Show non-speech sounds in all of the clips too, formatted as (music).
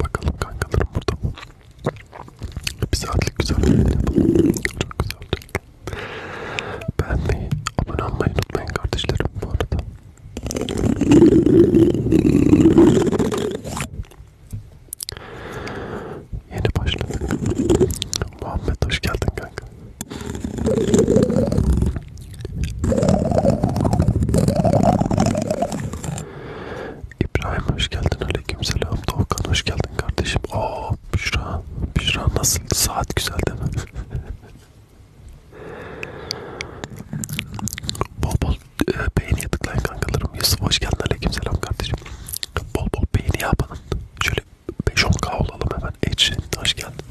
Bakalım kankalarım burada. Bir saatlik güzel bir yayın yapalım. Çok güzel olacak. Beğenmeyi, abone olmayı unutmayın kardeşlerim bu arada. Yeni başladık. Muhammed hoş geldin kanka. İbrahim hoş geldin. Aleykümselam. Doğukan hoş geldin kardeşim. Oo Büşra. Büşra nasıl? Saat güzel değil mi? bol bol e, beğeniye tıklayın kankalarım. Yusuf hoş geldin. Aleykümselam kardeşim. Bol bol beğeni yapın. Şöyle 5-10k olalım hemen. Edge, hoş geldin.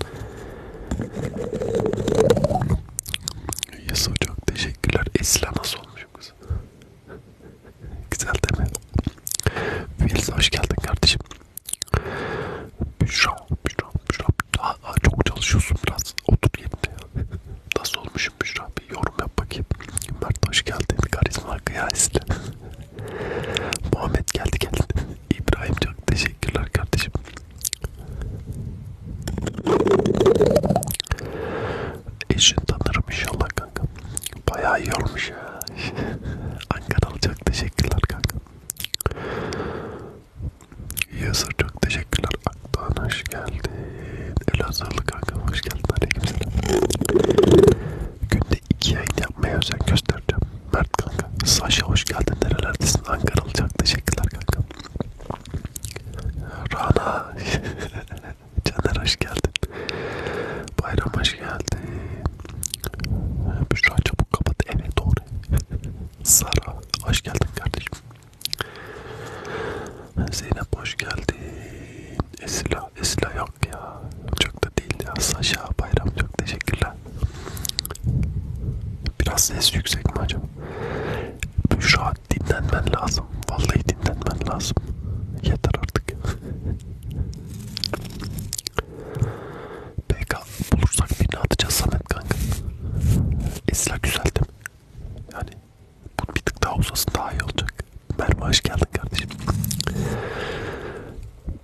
Yasuo çok teşekkürler. Esla nasıl olmuş kız? Güzel değil mi? Filiz hoş geldin kardeşim. Büşra, Büşra, Büşra. Aa, aa, çok çalışıyorsun biraz. Otur yerine. Nasıl olmuşum Büşra? Bir yorum yap bakayım. Mert hoş geldin. Karizma kıyasla. Muhammed geldi geldi. İbrahim çok teşekkürler kardeşim. Eşin tanırım inşallah kanka. Bayağı iyi olmuş ya. Ankaralı çok teşekkürler kanka. Yazır çok teşekkürler. Aktan hoş geldin. Elazığlı kanka hoş geldin. Aleykümselam. Gün de iki yayın yapmaya özen göstereceğim. Mert kanka. Saşa hoş geldin. Nerelerdesin? Ankara olacak. Teşekkürler kanka. Rana. (laughs) Caner hoş geldin. Bayram hoş geldin. Büşra çabuk kapat. Evet doğru. (laughs) Sara hoş geldin kardeşim. Zeynep hoş geldin. Esla, Esla yok ya. Çok da değil ya. Saşa Bayram çok teşekkürler. Biraz ses yüksek mi acaba? Büşra dinlenmen lazım. Vallahi dinlenmen lazım. Yeter artık. PK bulursak birini atacağız Samet kanka. Esla güzel değil mi? Yani bu bir tık daha uzasın daha iyi olacak. Merve hoş geldin kardeşim.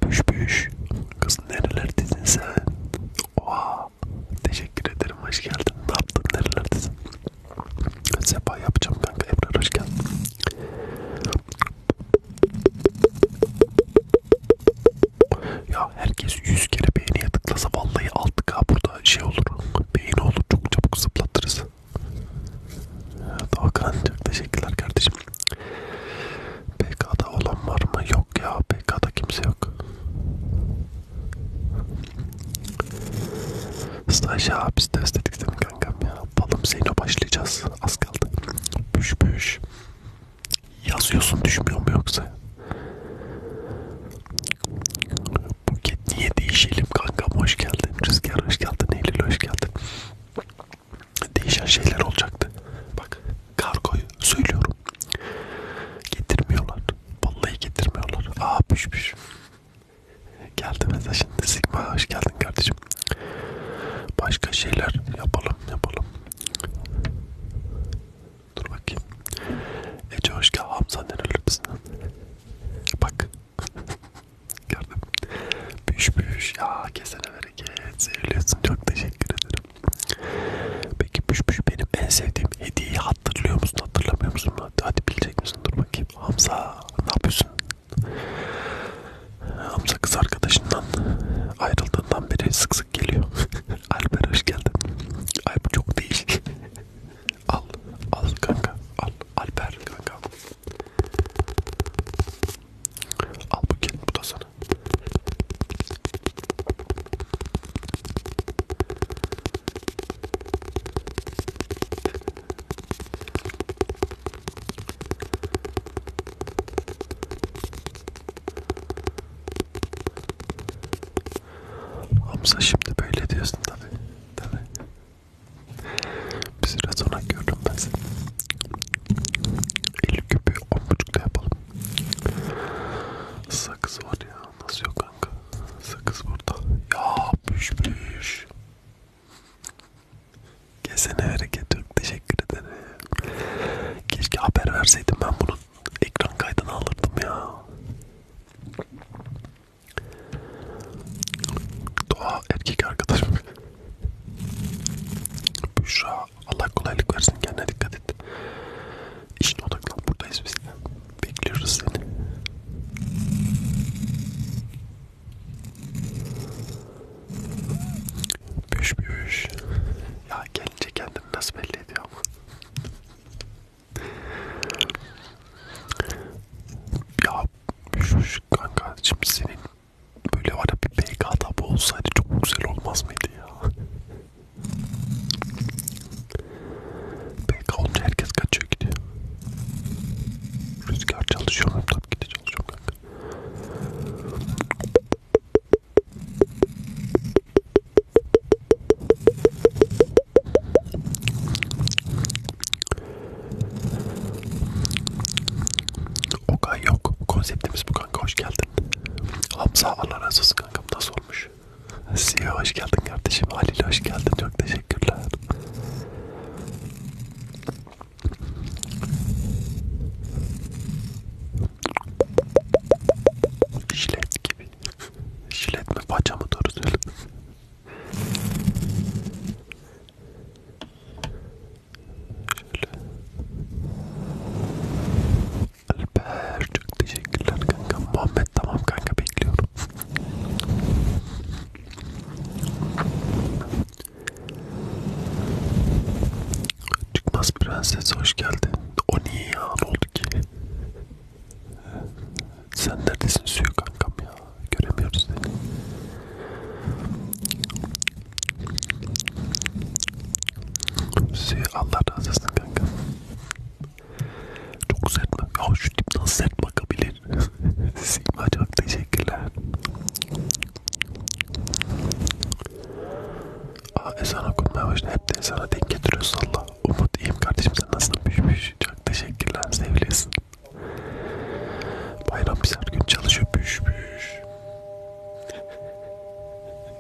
Büş büş. Kız nerelerdesin sen? Oha. Teşekkür ederim. Hoş geldin. Ne yaptın? Nerelerdesin? Sepa yapacağım kanka. Ebrar hoş geldin. Ya herkes 100 kere beğeniye tıklasa vallahi 6K burada şey olur. Beğeni olur. Çok çabuk zıplatırız. Doğukan çok teşekkürler kardeşim. PK'da olan var mı? Yok ya PK'da kimse yok. Staj ya biz test ettik değil mi kankam ya? Balım Zeyno başlayacağız. Az kaldı. Büş büş. Yazıyorsun düşmüyor mu yoksa? Buket niye değişelim kankam hoş geldin. Rüzgar hoş geldin. Eylül hoş geldin değişen şeyler olacaktı. Bak kargoyu söylüyorum. Getirmiyorlar. Vallahi getirmiyorlar. Aa püş püş. Geldi mesela şimdi Sigma hoş geldin kardeşim. Başka şeyler yapalım yapalım. Dur bakayım. Ece hoş geldin. Hamza nerelerdesin? Bak. (laughs) Gördüm. Püş püş. Ya kesene be hareket seviyorsun çok teşekkür ederim. Peki püş püş benim en sevdiğim hediyeyi hatırlıyor musun hatırlamıyor musun? Hadi, hadi bilecek misin dur bakayım. Hamza ne yapıyorsun? Hamza kız arkadaşından ayrıldığından beri sık sık geliyor. (laughs) Alper hoş geldin. Ay bu çok değişik. al al kanka al Alper kanka. Al bu gel bu da sana. Hamza şimdi böyle diyorsun tabi. Tabi. Bir süre sonra gördüm ben seni. 50 küpü 10.5'da yapalım. Sakız var ya. Nasıl yok kanka? Sakız burada. Ya püş Kesene hareket yok. Teşekkür ederim. Keşke haber verseydim ben bunun ekran kaydını alırdım ya. Doğa erkek arkadaşım. Büşra Allah kolaylık versin kendine dikkat et. İşine odaklan buradayız biz. Bekliyoruz seni. Büyüş büyüş. Ya gelince kendini nasıl belli ediyor ama. ya büyüş büyüş kanka şimdi senin Böyle var ya bir BK tabu olsaydı çok güzel olmaz mıydı ya? BK olunca herkes kaçıyor gidiyor. Rüzgar çalışıyor mu? Tabii ki de çalışıyor kanka. Okay yok. Konseptimiz bu kanka hoş geldin. Hamza Allah razı olsun kankam nasıl olmuş? Siya e hoş geldin kardeşim. Halil hoş geldin. Çok teşekkürler. Jilet gibi. Jilet mi? Paça mı? Doğru söyle. Şöyle. Alper çok teşekkürler kanka. Muhammed tamam kanka bekliyorum. Çıkmaz prenses hoş geldin. O niye ya ne oldu ki? Sen neredesin suyu kankam ya? Göremiyoruz seni. Suyu şey, Allah razı olsun kanka. Çok sert mi? Ya şu tip nasıl sert bakabilir? (laughs) Sima çok teşekkürler. Aa ezan okunmaya başladı. Hep de ezana denk getiriyorsun Allah. Umut iyiyim kardeşim sen nasıl püşmüş? Çok teşekkürler sevgilisin. Bayram bir gün çalışıyor püşmüş.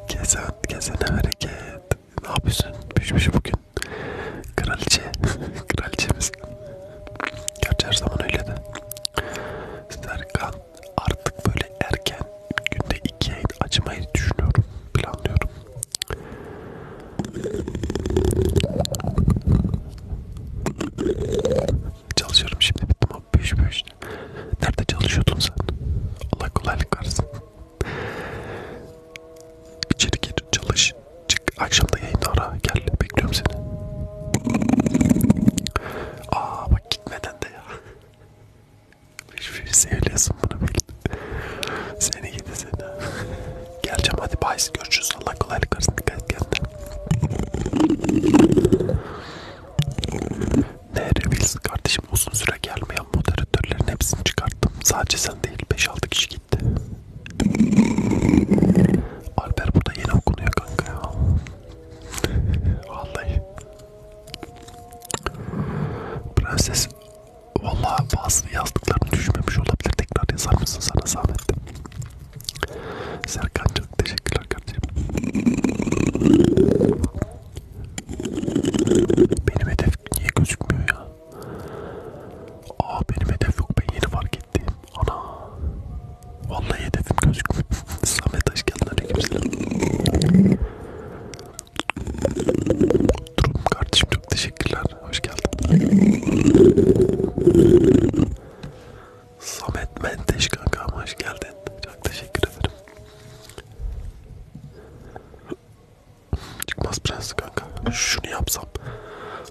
Gezen, gezene hareket. Ne yapıyorsun? Pişmiş şey bugün. Kraliçe. (laughs) Kraliçemiz. Gerçi her zaman öyle de. Serkan artık böyle erken günde iki yayın açmayı düşünüyorum. Planlıyorum. Çalışıyorum şimdi bittim abi. Büyüş büyüş. Nerede çalışıyordun sen? Allah kolaylık versin. İçeri gir, çalış. Çık akşamda yayını ara. Gel bekliyorum seni. Aa bak gitmeden de ya. Hiçbir şey söylüyorsun bunu bil. Seni gidi seni. Geleceğim hadi bay görüşürüz. Allah kolaylık versin. Dikkat et kendine. Nervis kardeşim uzun süre gelmeyen moderatörlerin hepsini çıkarttım. Sadece sen değil 5-6 kişi gitti. Alper burada yeni okunuyor kanka ya. Vallahi. Prenses vallahi bazı yazdıklarını düşmemiş olabilir. Tekrar yazar mısın sana zahmet? Serkan çok teşekkürler kardeşim. Benim hedef niye gözükmüyor ya? Aa benim hedef yok ben yeni fark ettim. Ana. Vallahi hedefim gözükmüyor. (laughs) Samet hoş geldin aleykümselam. Durum kardeşim çok teşekkürler. Hoş geldin. Samet Menteş kanka hoş geldin. Çok teşekkür ederim. Çıkmaz prens kanka. Şunu yapsam.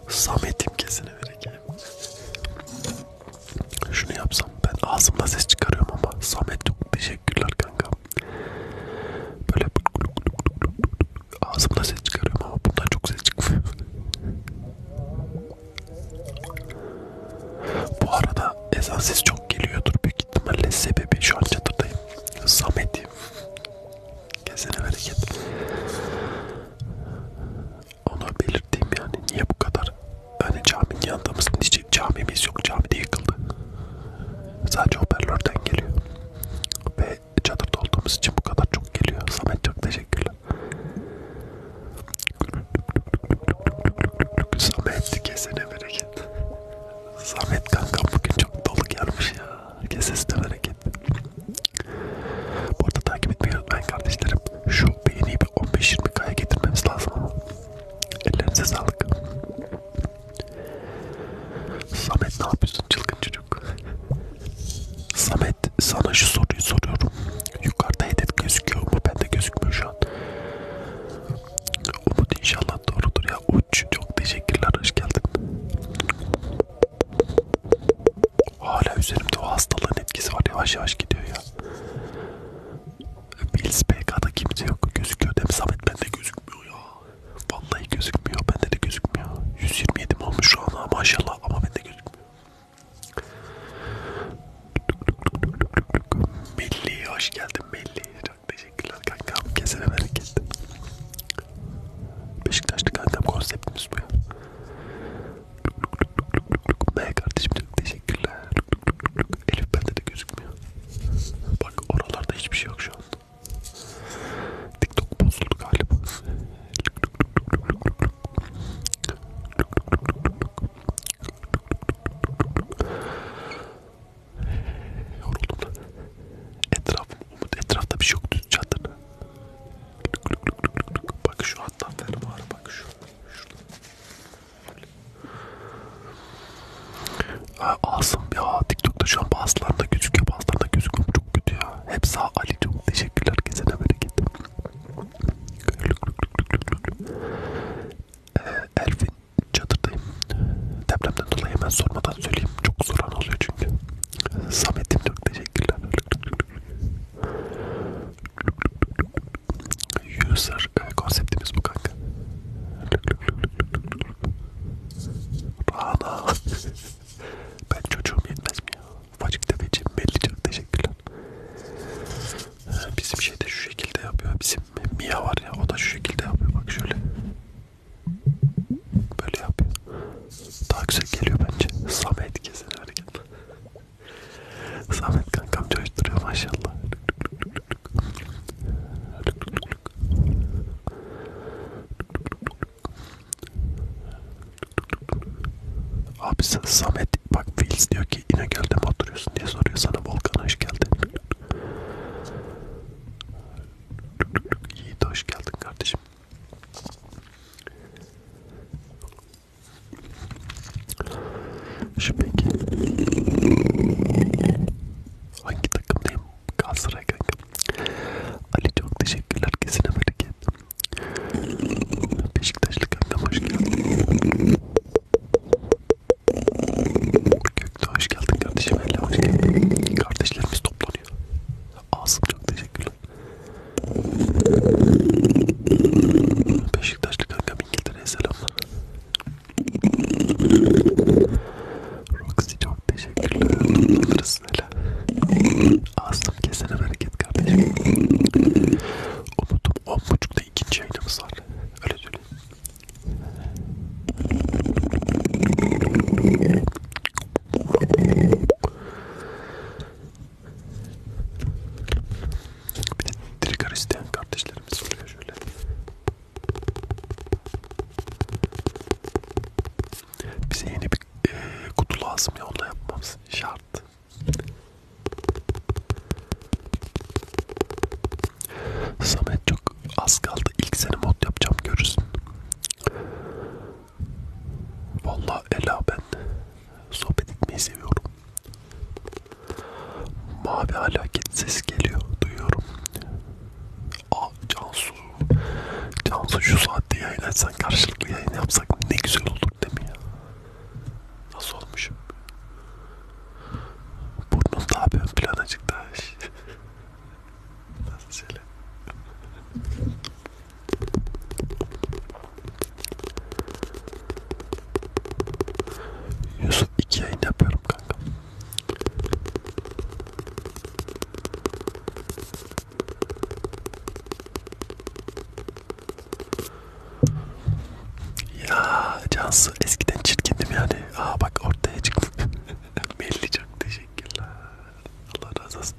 Samet imkesine vereceğim. Şunu yapsam. Ben ağzımda ses çıkarıyorum ama. Samet çok teşekkürler kanka. Böyle ağzımda ses çıkarıyorum ama bundan çok ses çıkmıyor. Bu arada ezan sesi çok çok geliyordur büyük ihtimalle sebebi şu an çadırdayım. Samet. Kesene bereket. Onu belirteyim yani niye bu kadar hani caminin yanındamız hiç camimiz yok camide yıkıldı. Sadece hoparlörden geliyor. Ve çadırda olduğumuz için bu kadar çok geliyor. Samet çok teşekkürler. Samet kesene bereket. Samet kanka bugün çok dolu gelmiş ya. Kesesine bereket. Bu arada takip etmeyi unutmayın kardeşlerim. Şu beğeniyi bir 15-20k'ya getirmemiz lazım ama. Ellerinize sağlık. Samet ne yapıyorsun çılgın çocuk? Samet sana şu soruyu soruyorum. Yukarıda hedef gözüküyor mu? Bende gözükmüyor şu an. Umut inşallah doğrudur ya. Uç çok teşekkürler. Hoş geldin. Hala üzerimde o hastalığın etkisi var. Yavaş yavaş gidiyor ya. Bills PK'da kimse yok. Gözüküyor değil mi Samet? Bende gözükmüyor ya. Vallahi gözükmüyor. Bende de gözükmüyor. 127 mi olmuş şu an ha maşallah ama bende gözükmüyor. Milli hoş geldin Milli. Çok teşekkürler kankam. Kesene bereket. Beşiktaşlı kankam konseptimiz bu ya. Be kardeşim çok teşekkürler. Elif bende de gözükmüyor. Bak oralarda hiçbir şey yok şu an. TikTok bozuldu galiba. Yoruldum da. Etrafım, umut etrafta bir şey yok düz çadır. Bak şu hatta fermuarı bak şu. Şurada. Ee, Asım ya TikTok'ta şu an bazılarında gözüküyor bazılarında gözükmüyor çok kötü ya. Hep sağ Ali çok teşekkürler kesene bereket. Ee, Elfin çadırdayım. Depremden dolayı hemen sormadan söyleyeyim. Çok soran oluyor çünkü. Samet'im çok teşekkürler. User e, konseptimiz bu kanka. Rana. ben çocuğum yetmez mi ya? Facık tepeciğim belli çok teşekkürler. Ee, bizim şey de şu şekilde yapıyor. Bizim Mia var ya o da şu şekilde yapıyor. Bak şöyle. Böyle yapıyor. Daha güzel geliyor bence. Samet kesin hareket. Samet kankam coşturuyor maşallah. Abi Samet bak Fils diyor ki ki İnegöl'de mi oturuyorsun diye soruyor sana Volkan hoş geldin. Yiğit hoş geldin kardeşim. Şu peki. Hangi takımdayım? Galatasaray kanka. Ali çok teşekkürler kesine bereket. Beşiktaşlı kanka hoş geldin. Gökte hoş geldin kardeşim. Hele hoş geldin. Kardeşlerimiz toplanıyor. Asım çok teşekkürler. Beşiktaşlı kankam İngiltere'ye selamlar. Roxy çok teşekkürler. Toplanırız hele. Asım kesene bereket kardeşim. Umut'um on buçuk hafta ikinci yayınımız var. Öyle söyleyeyim. Bir de trigger isteyen kardeşlerimiz oluyor şöyle. Bize yeni bir e, kutu lazım ya onu yapmamız şart. Samet çok az kaldı. İlk sene mod yapacağım görürsün. Vallahi Ela ben sohbet etmeyi seviyorum. Mavi alaket ses geliyor. Duyuyorum. Aa Cansu. Cansu şu saatte yayın etsen karşılıklı yayın yapsak ne güzel olur değil mi ya? Nasıl olmuş? Burnunuz ne yapıyor? Plana çıktı. Nasıl şöyle? Yusuf iki yayın yapıyorum kanka. Ya Cansu nasıl eskiden çirkindim yani. Aa bak ortaya çıktım. (laughs) Belli çok teşekkürler. Allah razı olsun.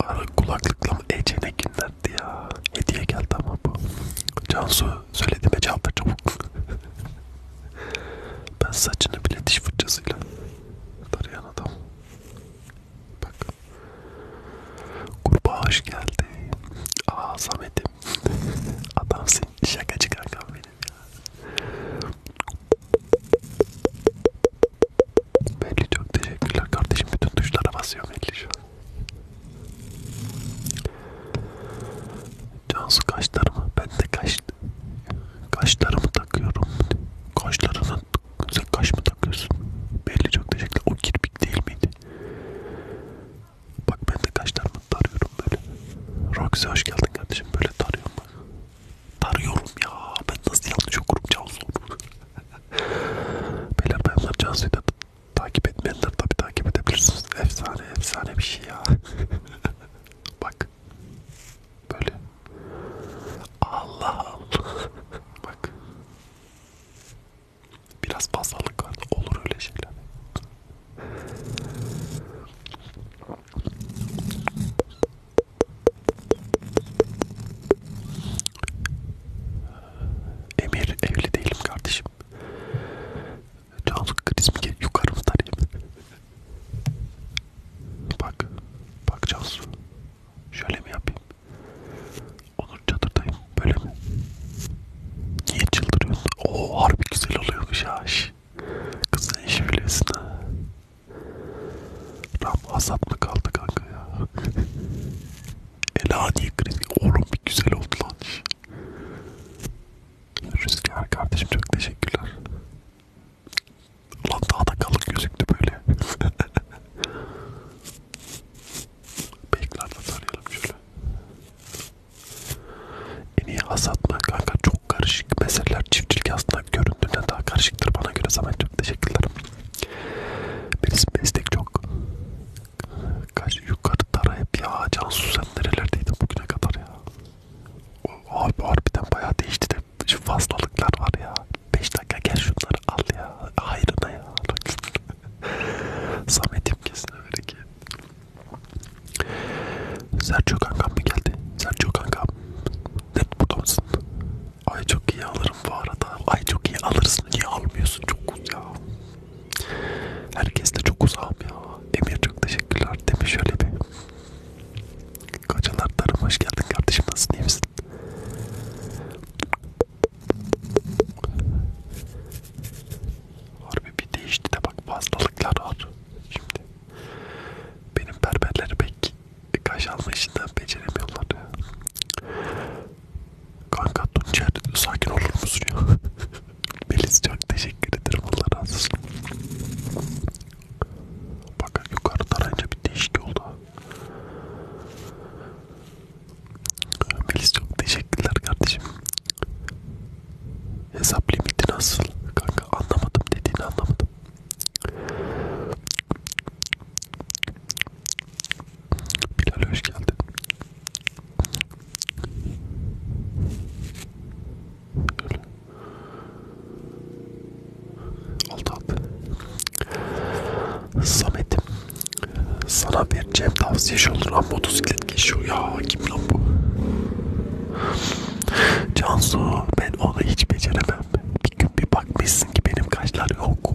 Ara kulaklıkla mı Ece ne günlerdi ya. Hediye geldi ama bu. Cansu söylediğime cevap ver çabuk. (laughs) ben saçını bile diş fırçasıyla tarayan adam. Bak. Kurbağa hoş geldi. Aa Samet'im Adamsın şakacı kankam benim ya. Melih çok teşekkürler kardeşim bütün tuşlara basıyor Melih şu an. Cansu kaşlarımı ben de kaş kaşlarımı takıyorum. Kaşlarına sen kaş mı takıyorsun? Belli çok teşekkürler. O kirpik değil miydi? Bak ben de kaşlarımı tarıyorum böyle. Roxy hoş geldin kardeşim. Böyle tarıyorum bak. Tarıyorum ya. Ben nasıl yanlış okurum Cansu? (laughs) Beyler bayanlar Cansu'yu da takip etmeyenler tabi takip edebilirsiniz. Efsane efsane bir şey ya. (laughs) bak. Böyle. Allah Allah. bak. Biraz fazlalık vardı. Olur öyle şeyler. Emir evli değilim kardeşim. Cansu kriz mi geliyor? Yukarımdan Bak, bak Cansu. Şöyle mi yapayım? Onur çadırdayım, böyle mi? Niye çıldırıyorsun? Oo harbi güzel oluyormuş ha. Kız sen işi biliyorsun ha. Ram hasat mı kaldı kanka ya? Elani krizi. Oğlum bir güzel oldu lan. Rüzgar kardeşim çok teşekkürler. Ulan daha da kalın gözüktü böyle. (laughs) Beklerle tarayalım şöyle. En iyi hasat mı? Kanka çok karışık meseleler. Çiftçilik aslında göründüğünden daha karışıktır bana göre. Zaman çok teşekkürler. Melis meslek çok. Kaç yukarı tara hep ya. Cansu sen nerelerdeydin bugüne kadar ya? Abi harbiden bayağı değişti de şu fazlalıklar var ya. 5 dakika gel şunları al ya. Hayrına ya. (laughs) Samet'im kesin öyle ki. Sergio kankam mı geldi? Sergio kankam. Net burada mısın? Ay çok iyi alırım bu arada. Ay çok iyi alırsın. Niye almıyorsun? Çok uz ya. Herkes de çok uzağım ya. Emir çok teşekkürler. Demiş şöyle bir. Kaçalar tarım hoş geldin kardeşim. Nasılsın? İyi misin? Harbi bir değişti de bak fazlalıklar var. Şimdi benim berberleri pek kaş alma işinden beceremiyorlar ya. Kanka Tuncer sakin olur musun ya? (laughs) Melis çok teşekkür ederim Allah razı olsun. Bak yukarı tarayınca bir değişik oldu. Melis çok teşekkürler kardeşim. Hesap limiti nasıl? Kanka anlamadım dediğini anlamadım. Bilal hoş geldin. Öyle. Oldu abi. Samet'im sana vereceğim tavsiye olur ama motosikleti millet geçiyor ya kim lan bu? Cansu ben onu hiç beceremem. Bir gün bir bakmışsın ki benim kaşlar yok.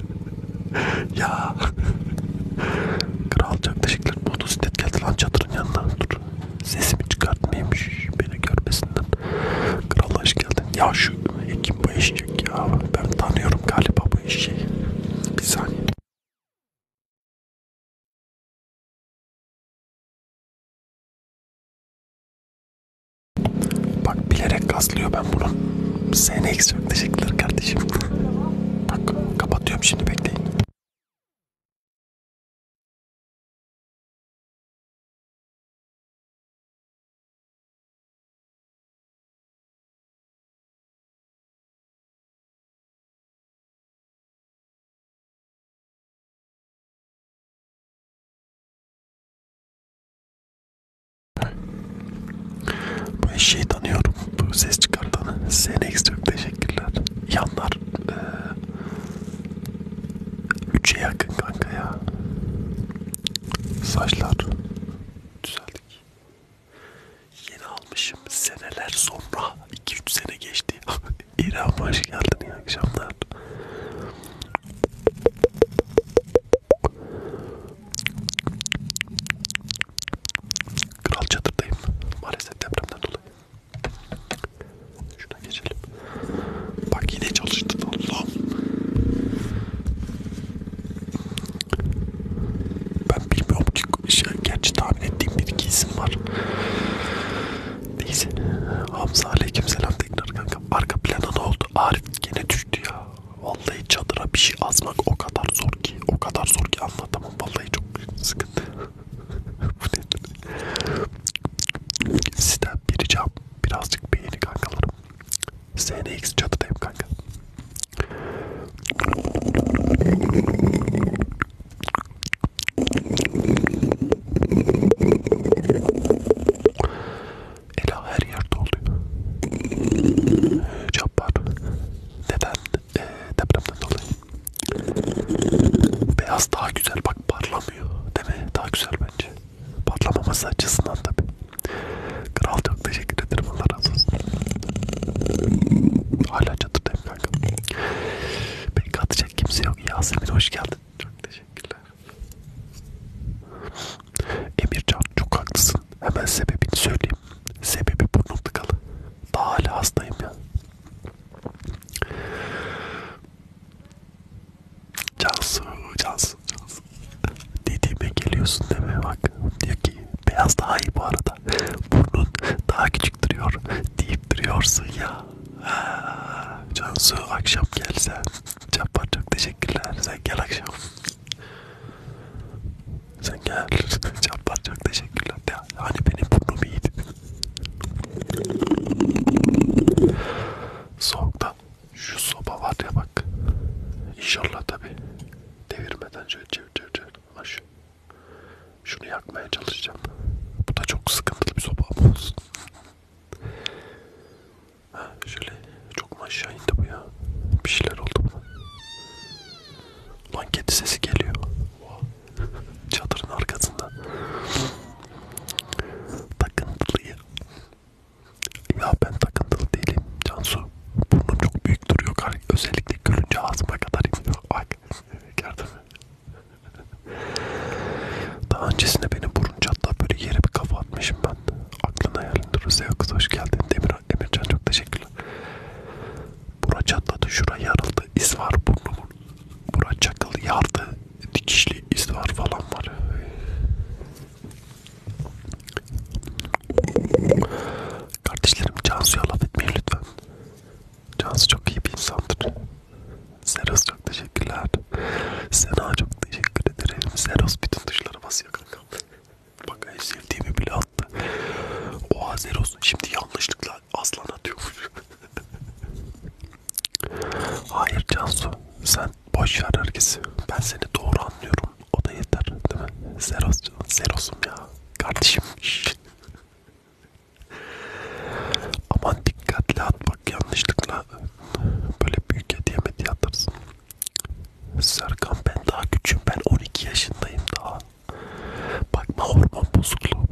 (laughs) ya. Kral çaklaşıklar motosiklet geldi lan çadırın yanına. Dur. Sesimi çıkartmayayım beni görmesinden. Kral hoş geldin. Ya şu kim bu eşek ya? Ben tanıyorum galiba bu eşeği. Bir saniye. Bak bilerek kaslıyor ben bunu. SNX çok teşekkürler kardeşim. Bak kapatıyorum şimdi bekleyin. Bu eşeği tanıyorum. Bu ses çıkartanı. SNX çok teşekkürler. Yanlar e, üçe yakın kanka ya. Saçlar düzeldik. Yeni almışım seneler sonra. 2-3 sene geçti. (laughs) İrem hoş geldin iyi akşamlar. Kral çadırdayım. Maalesef depremden dolayı. Şuna geçelim. Bak yine çalıştı Allah'ım. Ben bilmiyorum ki şey, gerçi daha tahmin ettiğim bir iki isim var. Neyse. Hamza aleykümselam tekrar kanka. Arka plana ne oldu? Arif gene düştü ya. Vallahi çadıra bir şey azmak o kadar zor ki. O kadar zor ki anlatamam. Vallahi çok büyük sıkıntı. (laughs) Bu nedir? Sizden bir ricam. Birazcık beğeni kankalarım. SNX çatıdayım kanka. Ela her yerde oluyor. Cabbar. Neden? Ee, depremden dolayı. Beyaz daha güzel bak parlamıyor. Değil mi? Daha güzel bence. Parlamaması açısından tabi. Kral çok teşekkür ederim. Allah razı olsun. Hala çatırdayım kanka. Beni katacak kimse yok. Yasemin hoş geldin. Çok teşekkürler. Emircan çok haklısın. Hemen sebebini söyleyeyim. Sebebi burnum tıkalı. Daha hala hastayım ya. Cansu, Cansu, Cansu. Dediğime geliyorsun deme bak. Diyor ki beyaz daha iyi bu arada. Burnun daha küçük duruyor deyip duruyorsun ya. Cansu akşam gelsen. Cappar çok teşekkürler. Sen gel akşam. Sen gel. (laughs) Cappar çok teşekkürler. Ya, hani benim burnum iyiydi. Soğukta şu soba var ya bak. İnşallah tabi. Devirmeden şöyle çevir çevir çevir. Aşağı. Şunu yakmaya çalışacağım. Bu da çok sıkıntılı bir sopa olsun. ha, şöyle çok mu aşağı indi bu ya? Bir şeyler oldu buna. Lan kedi sesi geliyor. (laughs) Çadırın arkasında. Takıntılıyım. Ya ben takıntılı değilim Cansu. Burnum çok büyük duruyor. Özellikle görünce ağzıma kadar iniyor. Bak. (laughs) Gördün mü? (laughs) Daha öncesinde beni burun çatla böyle yere bir kafa atmışım ben. Aklına hayalinde Rusya kız hoş geldin. Demir, Emircan çok teşekkürler. Bura çatladı, şura yarıldı, iz var burnumun. Bura çakıl yardı, dikişli iz var falan var. Kardeşlerim Cansu'ya laf etmeyin lütfen. Cansu çok iyi bir insandır. Zeros çok teşekkürler. Sena çok teşekkür ederim. Zeros bütün tuşlara basıyor kankam. Bak en sevdiğimi bile attı. Oha Zeros şimdi yanlışlıkla aslan atıyormuş. (laughs) Hayır Cansu sen boş ver herkesi. Ben seni doğru anlıyorum. O da yeter değil mi? Zeros, Zeros'um ya. Kardeşim. Aman dikkatli at bak yanlışlıkla böyle büyük hediye mi atarsın. Serkan ben daha küçüğüm ben 12 yaşındayım daha. Bakma hormon bozukluğu.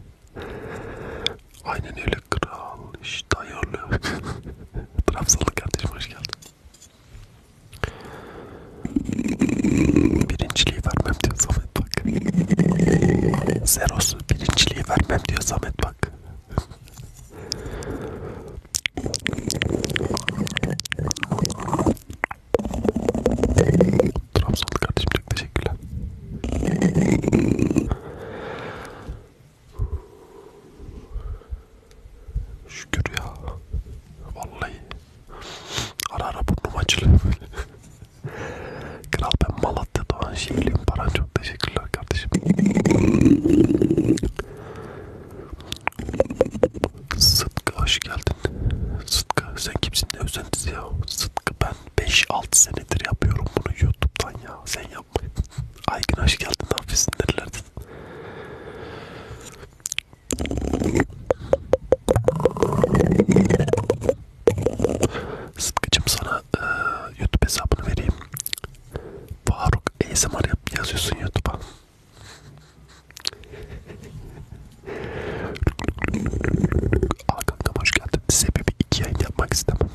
(laughs) Aynen öyle kral işte ayarlı. (laughs) Trabzonlu kardeşim hoş geldin. Birinciliği vermem diyor Samet bak. Zeros birinciliği vermem diyor Samet bak. Trabzonlu kardeşim çok teşekkürler. Şükür ya. Vallahi. Ara ara burnum acılıyor böyle. Kral ben Malatya doğan şiirliyim. Baran çok teşekkürler kardeşim. Sıtkı hoş geldin. Sıtkı sen kimsin ne özentisi ya? Sıtkı ben 5-6 senedir yapıyorum bunu YouTube'dan ya. Sen yapma. Aygın hoş geldin hafisin nerelerden. Sıtkıcım sana e, YouTube hesabını vereyim. Faruk ASMR yap, yazıyorsun YouTube'a. Aa kankam hoş geldin. Sebebi iki yayın yapmak istemem.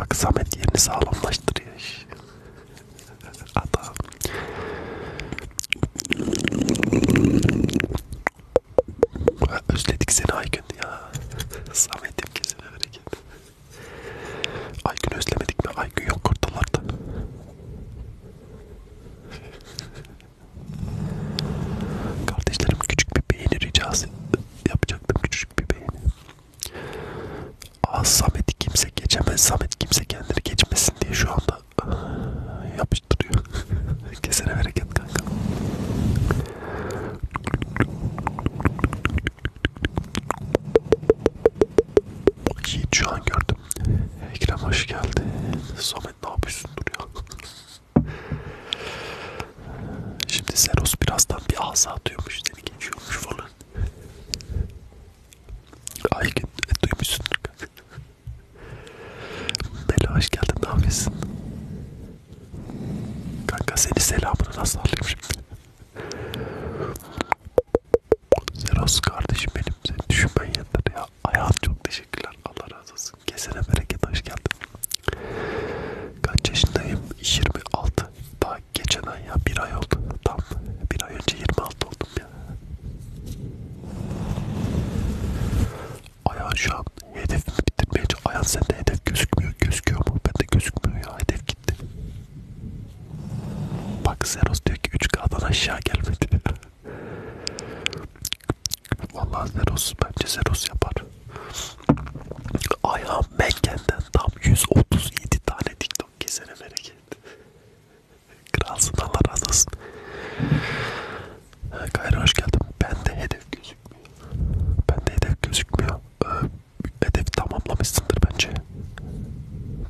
Bak Samet yerini sağlamlaştırıyor. Adam. Özledik seni Aygün ya. (laughs) Samet'im kesin hareket. Aygün özlemedik mi? Aygün yok ortalarda. (laughs) Kardeşlerim küçük bir beğeni ricası yapacaktım. Küçük bir beğeni. Aa Samet'i kimse geçemez. Samet kimse kendini geçmesin diye şu anda (laughs) yapıştırıyor. (laughs) Kesene bereket kanka. Yiğit şu an gördüm. Ekrem hoş geldin. Samet ne yapıyorsun dur ya. Şimdi Seros birazdan bir ağza atıyormuş. Dedi geçiyormuş falan. Aygün e, duymuşsundur. Bela hoş geldin. Ne yapıyorsun? Kanka seni selamını nasıl alayım şimdi? Zeros kardeşim benim. Seni düşünmen yeter ya. Ayağım çok teşekkürler. Allah razı olsun. Kesene bereket. Hoş geldin. Kaç yaşındayım? 26. Daha geçen ay ya. Bir ay oldu. Tam bir ay önce 26 oldum ya. Ayağın şu an hedefimi bitirmeye çalışıyor. Ayağın sende hedef gözükmüyor. Gözüküyor mu? Bende gözükmüyor ya. Hedef gitti. Bak Zeros diyor ki 3K'dan aşağı gelmedi. (laughs) Vallahi Zeros bence Zeros yapar. Ayağım Mekke'den tam 137 tane TikTok kesene bereket. (laughs) Kralsın Allah razı olsun. Ee, Gayri hoş geldin. Ben de hedef gözükmüyor. Ben de hedef gözükmüyor. Ee, hedef tamamlamışsındır bence.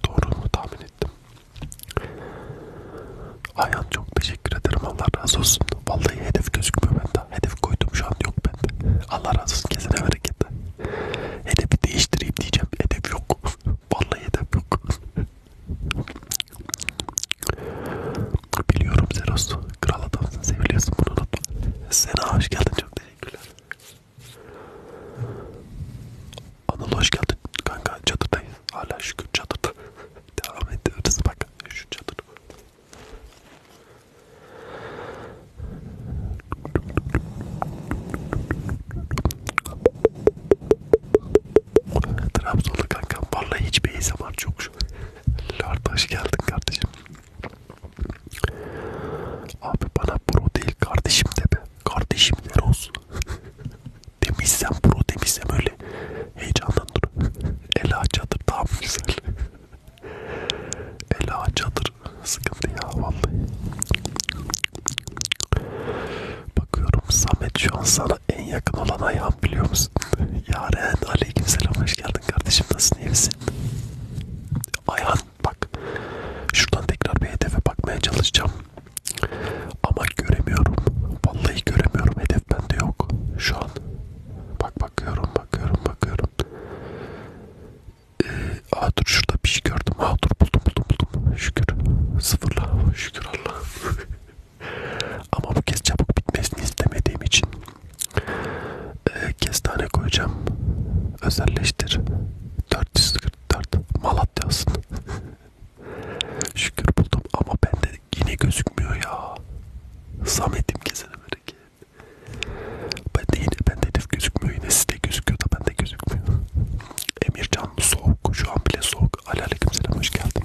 Doğru mu tahmin ettim? Ayhan çok teşekkür ederim. Allah razı olsun. Vallahi hedef gözükmüyor bende. Hedef koydum şu an yok bende. Allah razı olsun. Kesene bereket. Hedefi değiştireyim diyeceğim. Hedef yok. (laughs) Vallahi hedef yok. Biliyorum Zeros. Kral adamsın. Seviliyorsun bunu unutma. Sena hoş geldin. Çok teşekkürler. Anıl hoş geldin. Kanka çatıdayız. Hala şükür çatıda. (laughs) Devam ediyoruz. Bak şu çatıda. Trabzonlu kankam vallahi hiç bir ASMR çok şu Lord hoş geldin kardeşim. Abi bana bro değil kardeşim de be. Kardeşim ne olsun. (laughs) demişsem bro demişsem öyle heyecandan dur. Ela çadır tam güzel. (laughs) Ela çadır sıkıntı ya vallahi. Bakıyorum Samet şu an sana bana en yakın olan ayağım biliyor musun? (laughs) Yaren aleykümselam hoş geldin kardeşim nasılsın iyi misin? Ayhan bak şuradan tekrar bir hedefe bakmaya çalışacağım. Ama göremiyorum. Vallahi göremiyorum. Hedef bende yok. Şu an. Bak bakıyorum bakıyorum bakıyorum. Ee, aa dur şurada bir şey gördüm. Aa dur buldum buldum buldum. Şükür. Sıfırla. Şükür Allah. (laughs) Ama bu kez çabuk bitmesini istemediğim için e, kestane koyacağım. Özelleştir. 444 Malatya'sın. (laughs) Şükür buldum ama bende yine gözükmüyor ya. Samet'im kesene bereket. Bende yine bende hedef gözükmüyor. Yine sizde gözüküyor da bende gözükmüyor. Emircan soğuk. Şu an bile soğuk. Aleyküm selam hoş geldin.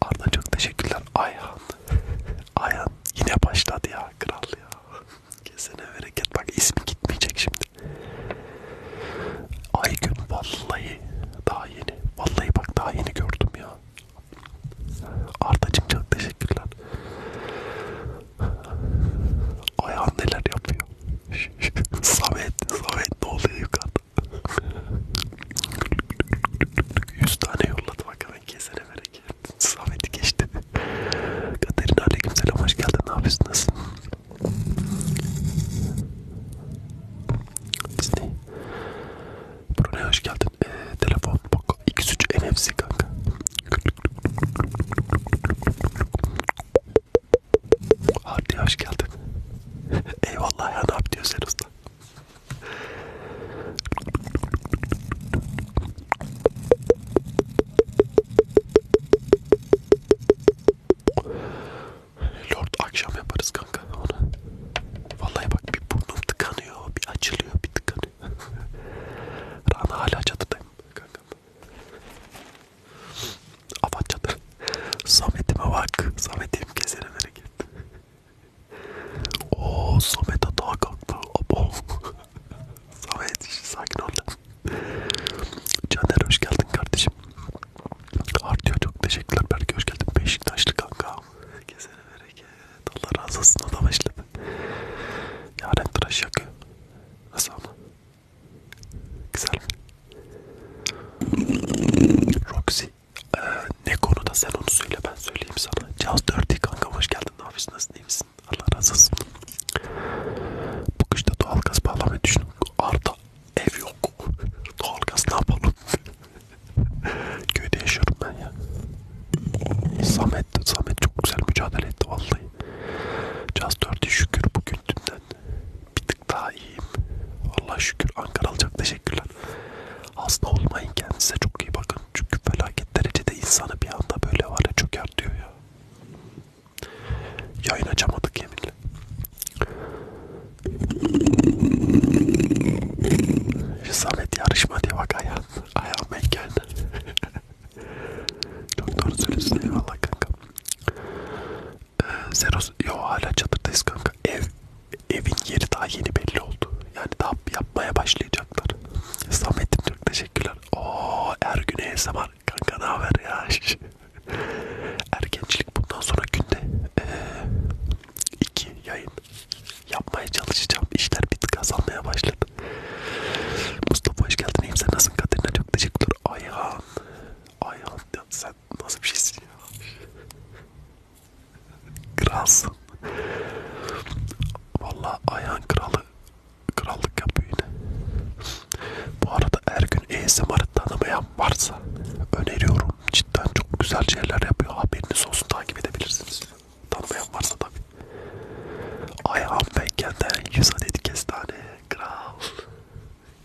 Arda çok teşekkürler. Ayhan. Ayhan yine başladı ya kral ya. Kesene bereket bak ismi gitmeyecek şimdi. Aygün vallahi daha yeni. Vallahi bak daha yeni gördüm ya. Ardacım çok teşekkürler. Ayhan neler yapıyor? (laughs) Samet, Samet ne oluyor yukarıda? 100 tane yolladı bak hemen kesene bereket. Samet'i geçti. Katerina aleykümselam hoş geldin. Ne yapıyorsun? Nasılsın? Disney. Brunei hoş geldin. Ee, telefon bak. 2-3 NFC kanka. Hardy hoş geldin. (laughs) Eyvallah ya ne yapıyorsun sen usta? Lord akşam yaparız kanka onu. Vallahi bak bir burnum tıkanıyor, bir açılıyor, bir tıkanıyor. (laughs) Rana hala çatıdayım kanka. Avat çadır. Samet'ime bak. Samet'im keserim hareket. O Samet hata kalktı. Abo. (laughs) Samet sakin ol. Caner hoş geldin kardeşim. Artıyor çok teşekkürler. Berke hoş geldin. Beşiktaşlı kanka. Kesene bereket. Allah razı olsun adam başladı. Yaren tıraş yakıyor. Nasıl ama? Güzel mi? Roxy. Ee, ne konuda sen onu söyle ben söyleyeyim sana. Caz 4'i kanka hoş geldin. Ne yapıyorsun? Nasılsın? İyi misin? Allah razı olsun. Bu kışta doğalgaz bağlamayı düşün. Arda ev yok. Doğalgaz ne yapalım? (laughs) Köyde yaşıyorum ben ya. Samet, Samet çok güzel mücadele etti vallahi. Caz 4'i şükür bugün dünden bir tık daha iyiyim. Allah şükür Ankara alacak teşekkürler. Hasta olmayın kendinize çok iyi bakın. Çünkü felaket derecede insanı bir anda böyle var ya çöker diyor ya. Yayın açamadık yeminle. Rizamet yarışma diye bak ayağım, ayağım engeldi. (laughs) Çok doğru söylüyorsun eyvallah kanka. Ee, Zeros, yo hala çadırdayız kanka. Ev evin yeri daha yeni belli oldu. Yani daha yapmaya başlayacaklar. Samet'im çok teşekkürler. Oo Ergün ASMR. Kanka ne haber ya? (laughs) Ergençlik bundan sonra günde ee, iki yayın yapmaya çalışacağım. İşler bir tık azalmaya başladı. Mustafa hoş geldin. İyiyim sen nasılsın? Katerina çok teşekkürler. Ayhan. Ayhan sen nasıl bir şeysin ya? Kralsın. Vallahi ayağın kralı krallık yapıyor yine. Bu arada her gün ASMR tanımayan varsa öneriyorum. Cidden çok güzel şeyler yapıyor. Haberiniz olsun takip edebilirsiniz. Tanımayan varsa tabi. Ayağım beykenden 100 adet kestane. Kral.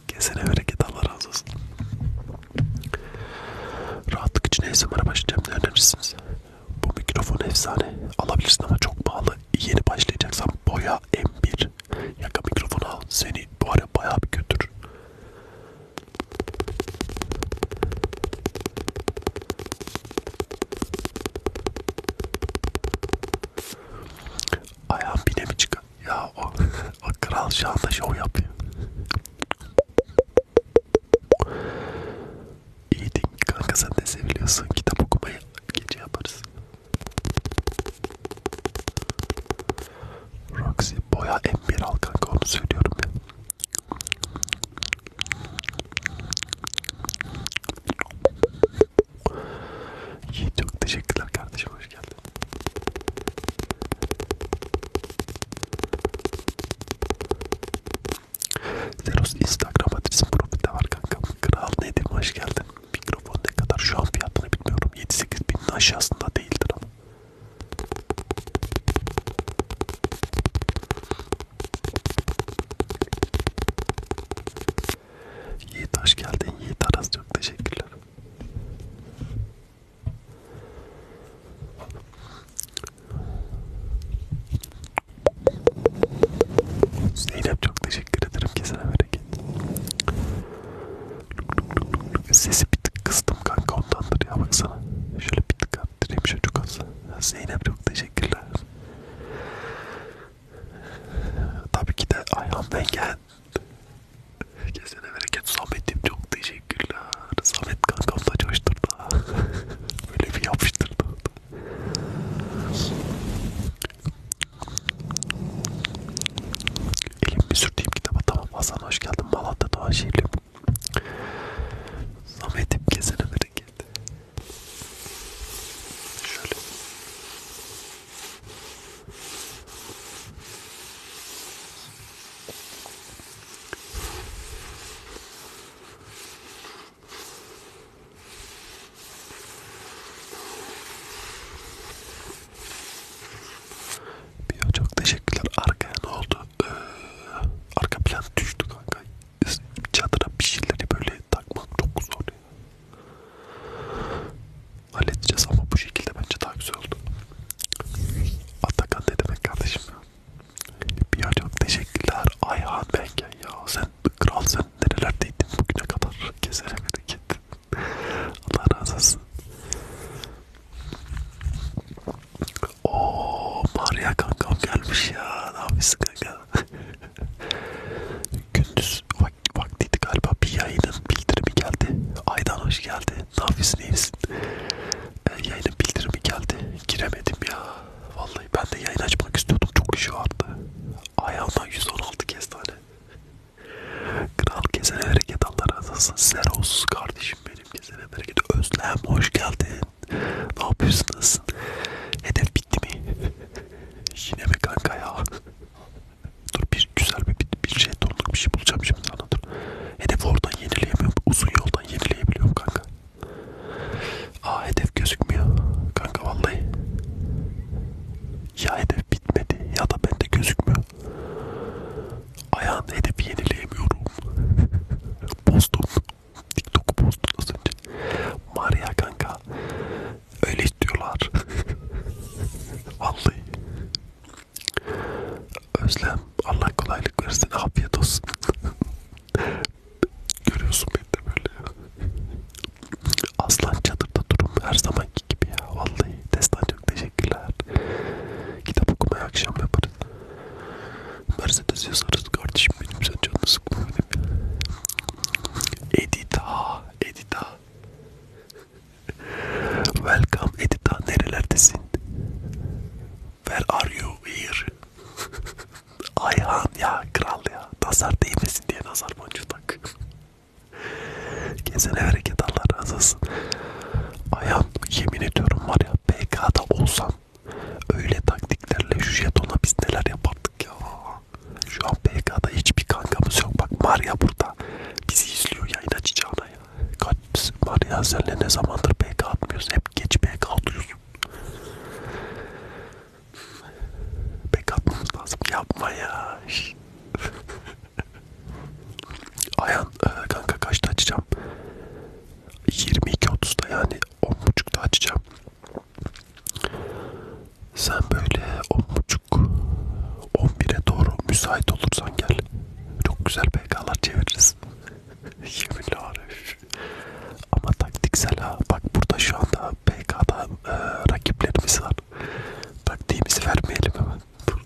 Kesene bereket Allah razı olsun. Rahatlık için ASMR'a başlayacağım ne önerirsiniz? Bu mikrofon efsane. Alabilirsin ama çok pahalı. Yeni başlayacaksan boya M1. Yaka mikrofonu al. Seni bu ara bayağı bir götür. Ayağım bine mi çıkar? Ya o, (laughs) o kral şu anda şov yapıyor. İyi değil kanka sen de seviyorsun kitap okumayı gece yaparız. Roxy boya M1 al kanka onu söylüyorum ya. İyi çok teşekkürler kardeşim hoş geldin. Zeros Instagram adresim profilde var kanka. Kral nedir? Hoş geldin. Mikrofon ne kadar şu an fiyatını bilmiyorum. 7-8 binin aşağısında değildir ama. Yiğit hoş geldin. Yiğit Aras çok teşekkürler. Zeynep çok teşekkür ederim kesene bereket. Sesi bir tık kıstım kanka ondandır ya baksana. Şöyle bir tık arttırayım şöyle çok az. Zeynep çok teşekkürler. Tabii ki de ayağım ben gel kesene bereket Samet'im çok teşekkürler. Samet kankam da coşturdu. (laughs) Böyle bir yapıştırdı. Elim bir sürdüğüm kitaba tamam Hasan hoş geldin Malatya Doğaşehirliyim. Samet'im kesene bereket. Şöyle. Biyo çok teşekkürler. Arkaya ne oldu? Ee, arka plan düştü kanka. Çadıra bir şeyleri böyle takmak çok zor ya. Halledeceğiz ama bu şekilde bence daha güzel oldu. Atakan ne demek kardeşim ya? Bir çok teşekkürler Ayhan Bengen ya sen kral sen nerelerdeydin bugüne kadar keserim git. Allah razı olsun. Ooo Maria kankam gelmiş ya ne yapıyorsun kanka? Gündüz vak vaktiydi galiba bir yayının bildirimi geldi. Aydan hoş geldi ne yapıyorsun iyi misin? E, yayına bildirimi geldi. Giremedim ya. Vallahi ben de yayın açmak istiyordum. Çok şu attı. Ayağımdan 116 kez tane. Kral kesene bereket Allah razı olsun. Sizler olsun kardeşim benim kesene bereket. Özlem hoş geldin. Ne yapıyorsun nasılsın? Hedef bitti mi? (laughs) Yine mi kanka ya? Dur bir güzel bir, bir şey tonluk bir şey bulacağım şimdi sana dur. Hedef oradan yenileyemiyorum. Uzun yoldan yenileyebiliyorum kanka. Aa hedef gözükmüyor. Kanka vallahi. Ya hedef bitmedi ya da bende gözükmüyor. Ayağın hedefi yenileyemiyorum. Postum. (laughs) TikTok'u postum az önce. Maria kanka. Öyle istiyorlar. (laughs) vallahi. Özlem Allah kolaylık versin afiyet olsun (laughs) görüyorsun beni de böyle aslan çadırda durum her zamanki gibi ya vallahi destan çok teşekkürler kitap okumaya akşam yaparız Mercedes yazarız kardeşim benim sen canını sıkma benim Edita Edita Welcome Edita nerelerdesin Where are you here? (laughs) Ayhan ya kral ya. Nazar değmesin diye nazar boncuğu tak. Gezene hareket Allah razı olsun. Ayhan yemin ediyorum var ya PK'da olsam öyle taktiklerle şu jetona biz neler yapardık ya. Şu an PK'da hiçbir kankamız yok. Bak Maria burada bizi izliyor yayın açacağına ya. Kaç var ya senle ne zamandır BK atmıyoruz. Hep geç BK atıyorsun. BK atmamız lazım. Yapma ya. (laughs) Ayhan e, kanka kaçta açacağım? 22.30'da yani 10.30'da açacağım. Sen böyle 10.30 11'e doğru müsait olursan gel. Çok güzel BK'lar çeviririz. Yeminle Arif. Ama taktiksel ha. Bak burada şu anda PK'da e, rakiplerimiz var. Taktiğimizi vermeyelim hemen. Dur.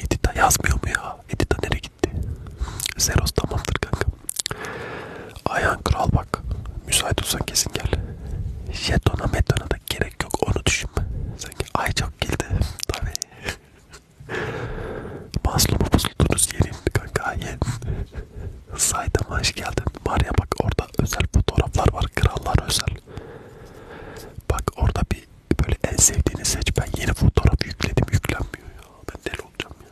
Edita yazmıyor mu ya? Edita nereye gitti? Zeros tamamdır kanka. Ayhan kral bak. Müsait olsan kesin gel. Jetona metona da gerek yok onu düşünme. Sanki ay çok geldi. Tabii. Maslumu pusuldunuz yerin kanka yerin. Saydam'a hoş geldin. Var ya bak orada özel fotoğraflar var. Krallar özel. Bak orada bir böyle en sevdiğini seç. Ben yeni fotoğraf yükledim. Yüklenmiyor ya. Ben deli olacağım ya.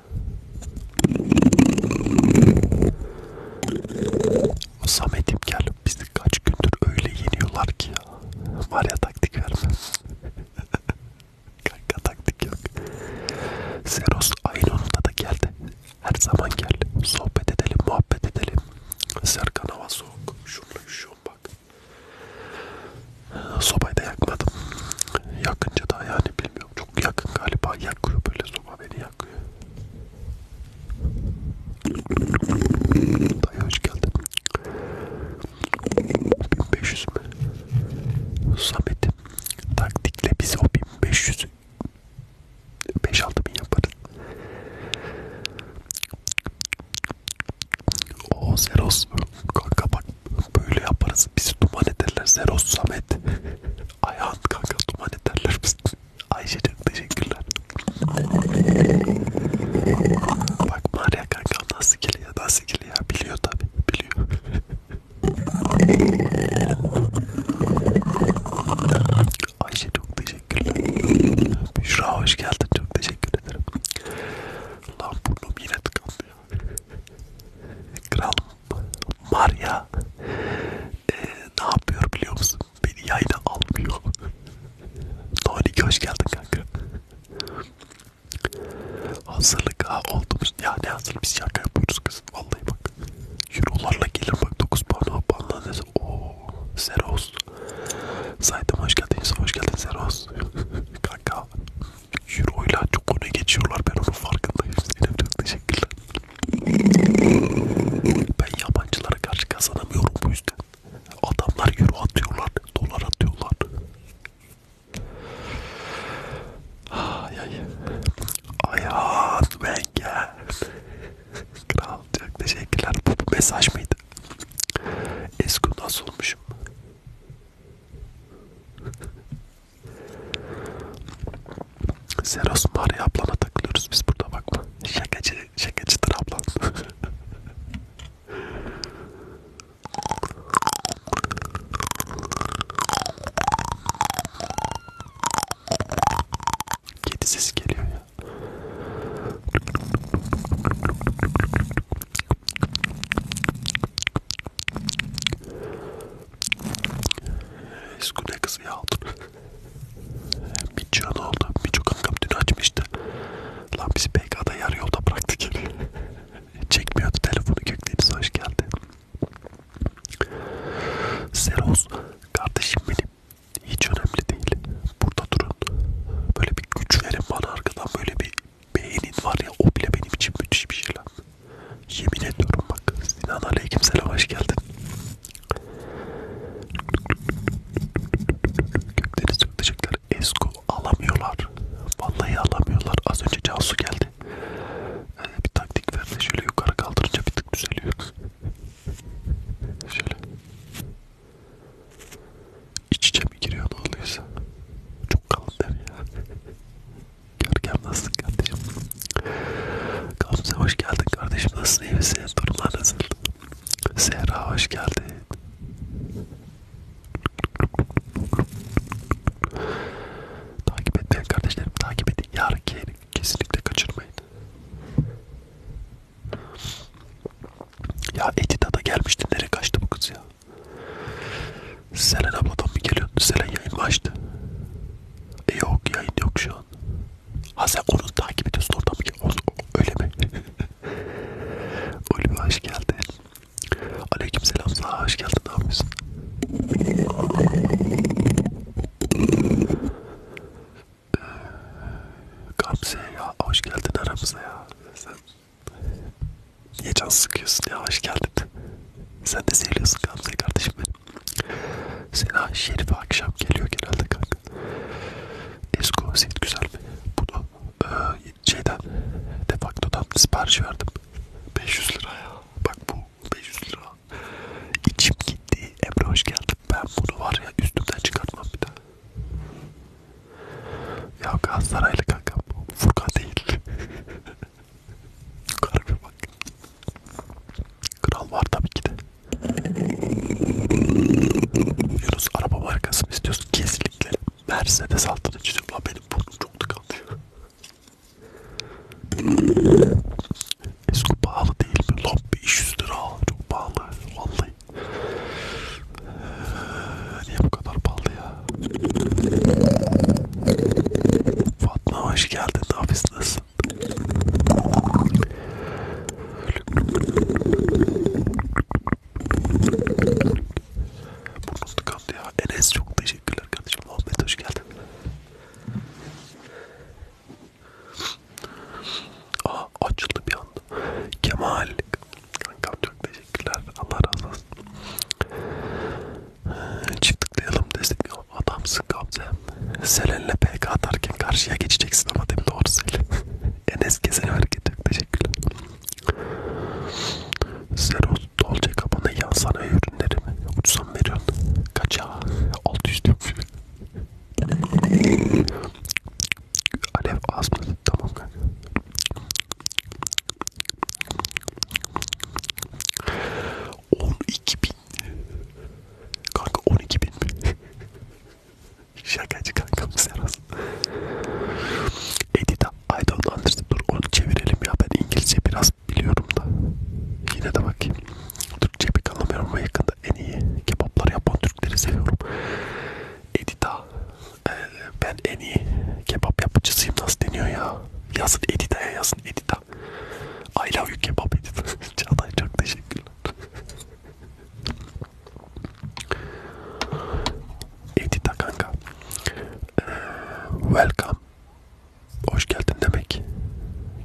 Samet'im gel. Bizi kaç gündür öyle yeniyorlar ki ya. Var ya taktik verme. Kanka taktik yok. Seros aynı onunla da geldi. Her zaman gel. Sohbet edelim, muhabbet edelim. Serkan hava soğuk. Şurada üşüyorum bak. Sobayı da yakmadım. Yakınca da yani bilmiyorum. Çok yakın galiba. Yakıyor böyle soba beni yakıyor. Dayı hoş geldin. 1500 mü? Samet taktikle biz o 1500 5-6 bin yaparız. O Zeros kanka bak böyle yaparız. Bizi duman ederler Zeros Samet. Ayhan kanka duman ederler biz. Ayşe çok teşekkürler. Bak Maria kanka nasıl ki sikili ya daha sikili ya biliyor tabi biliyor. Ayşe çok teşekkürler. Büşra hoş geldin çok teşekkür ederim. Lan burnum yine tıkandı ya. Kral Maria ee, ne yapıyor biliyor musun? Beni yayına almıyor. Tony hoş geldin kanka. Hazırlık ha oldunuz. Ya ne hazırlık biz şaka yapıyoruz kız. Vallahi bak. Eurolarla gelir bak 9 puan puanla neyse. Ooo. Seros. Saydım hoş geldin. Hoş geldin Seros. (laughs) Kanka. Euroyla çok öne geçiyorlar. Ben onun farkındayım. Zeynep çok teşekkürler. Ben yabancılara karşı kazanamıyorum bu yüzden. Adamlar euro atıyorlar, dolar atıyorlar. Ay ay. Ayhan ah, Wenger. Kral çok teşekkürler. Bu, bu mesaj mıydı? Esko nasıl olmuşum? Seros Maria ablana takılıyoruz biz burada bakma. Şakacı, şakacıdır ablan. (laughs) Kedi sesi geliyor ya. Eskune kızı ya altın. (laughs) bir can oldu. Birçok kankam dün açmıştı. Lan bizi PK'da yarı yolda bıraktı geri. (laughs) Çekmiyordu telefonu Gökdeniz hoş geldi. Seros kardeşim benim hiç önemli değil. Burada durun. Böyle bir güç verin bana arkadan böyle bir beğenin var ya o bile benim için müthiş bir şey lan. Yemin ediyorum bak Sinan Aleykümselam hoş geldin. Gökdeniz çok teşekkürler. Esko alamıyorlar. Vallahi alamıyorlar. Az önce Cansu geldi. Ee, bir taktik verdi. Şöyle yukarı kaldırınca bir tık düzeliyor. Şöyle. İç içe mi giriyor ne oluyorsa. Çok kalın der ya. Görkem nasılsın kardeşim? Gamze hoş geldin kardeşim. Nasılsın iyi misin? Durumlar nasıl? Zehra hoş geldin. Takip etmeyin kardeşlerim, takip edin. Yarınki yayını kesinlikle kaçırmayın. Ya Edita da gelmişti, nereye kaçtı bu kız ya? Selen abladan mı geliyordu? Selen yayın mı açtı? E yok, yayın yok şu an. Ha sen onu takip ediyorsun oradan mı geliyorsun? Öyle mi? (laughs) Ulvi hoş geldin. Aleyküm selam sana hoş geldin ne yapıyorsun? Ee, Gamze ya hoş geldin aramıza ya. Sen niye can sıkıyorsun ya hoş geldin. Sen de seviyorsun Gamze kardeşim benim. Sena Şerife akşam geliyor genelde kanka. Esko set güzel mi? Bunu e, şeyden defaktodan sipariş verdim. 500 lira ya. Bak bu 500 lira. İçim gitti. Emre hoş geldin. Ben bunu var ya üstümden çıkartmam bir daha. Ya Galatasaraylı kanka bu. Furkan değil. Karbi (laughs) bak. Kral var tabii ki de. Yunus araba markası mı istiyorsun? Kesinlikle. Mercedes altına çiziyorum lan benim burnum çok tıkanıyor. Esko pahalı değil mi? Lan 500 lira çok pahalı vallahi. Ee, niye bu kadar pahalı ya? Fatma hoş geldin nafis nasılsın? Burnum tıkandı ya. Enes çok teşekkürler kardeşim. Muhammed hoş geldin. Aa açıldı bir anda. Kemal. Kankam çok teşekkürler. Allah razı olsun. Ee, Çift tıklayalım destekliyorum. Adamsın Gamze. Selen'le PK atarken karşıya geçeceksin ama değil mi? Doğru söyle. (laughs) Enes kesene hareket çok teşekkürler. Zero Dolce Gabbana yan sanayi ürünleri mi? Ucuzan veriyorsun. Kaça? 600 diyorum. Alev az mı? Tamam kanka. On iki bin. Kanka on iki bin mi? (laughs) Şakacı kankam Seras. Edita I don't understand. Dur onu çevirelim ya. Ben İngilizce biraz biliyorum da. Yine de bakayım. Türkçe pek anlamıyorum ama yakında en iyi kebaplar yapan Türkleri seviyorum. Edita. Ee, ben en iyi kebap yapıcısıyım. Nasıl deniyor ya? Yazın Edita'ya yazın Edita. I love you kebap Edita. (laughs) Çağatay çok teşekkürler. Edita kanka welcome. Hoş geldin demek.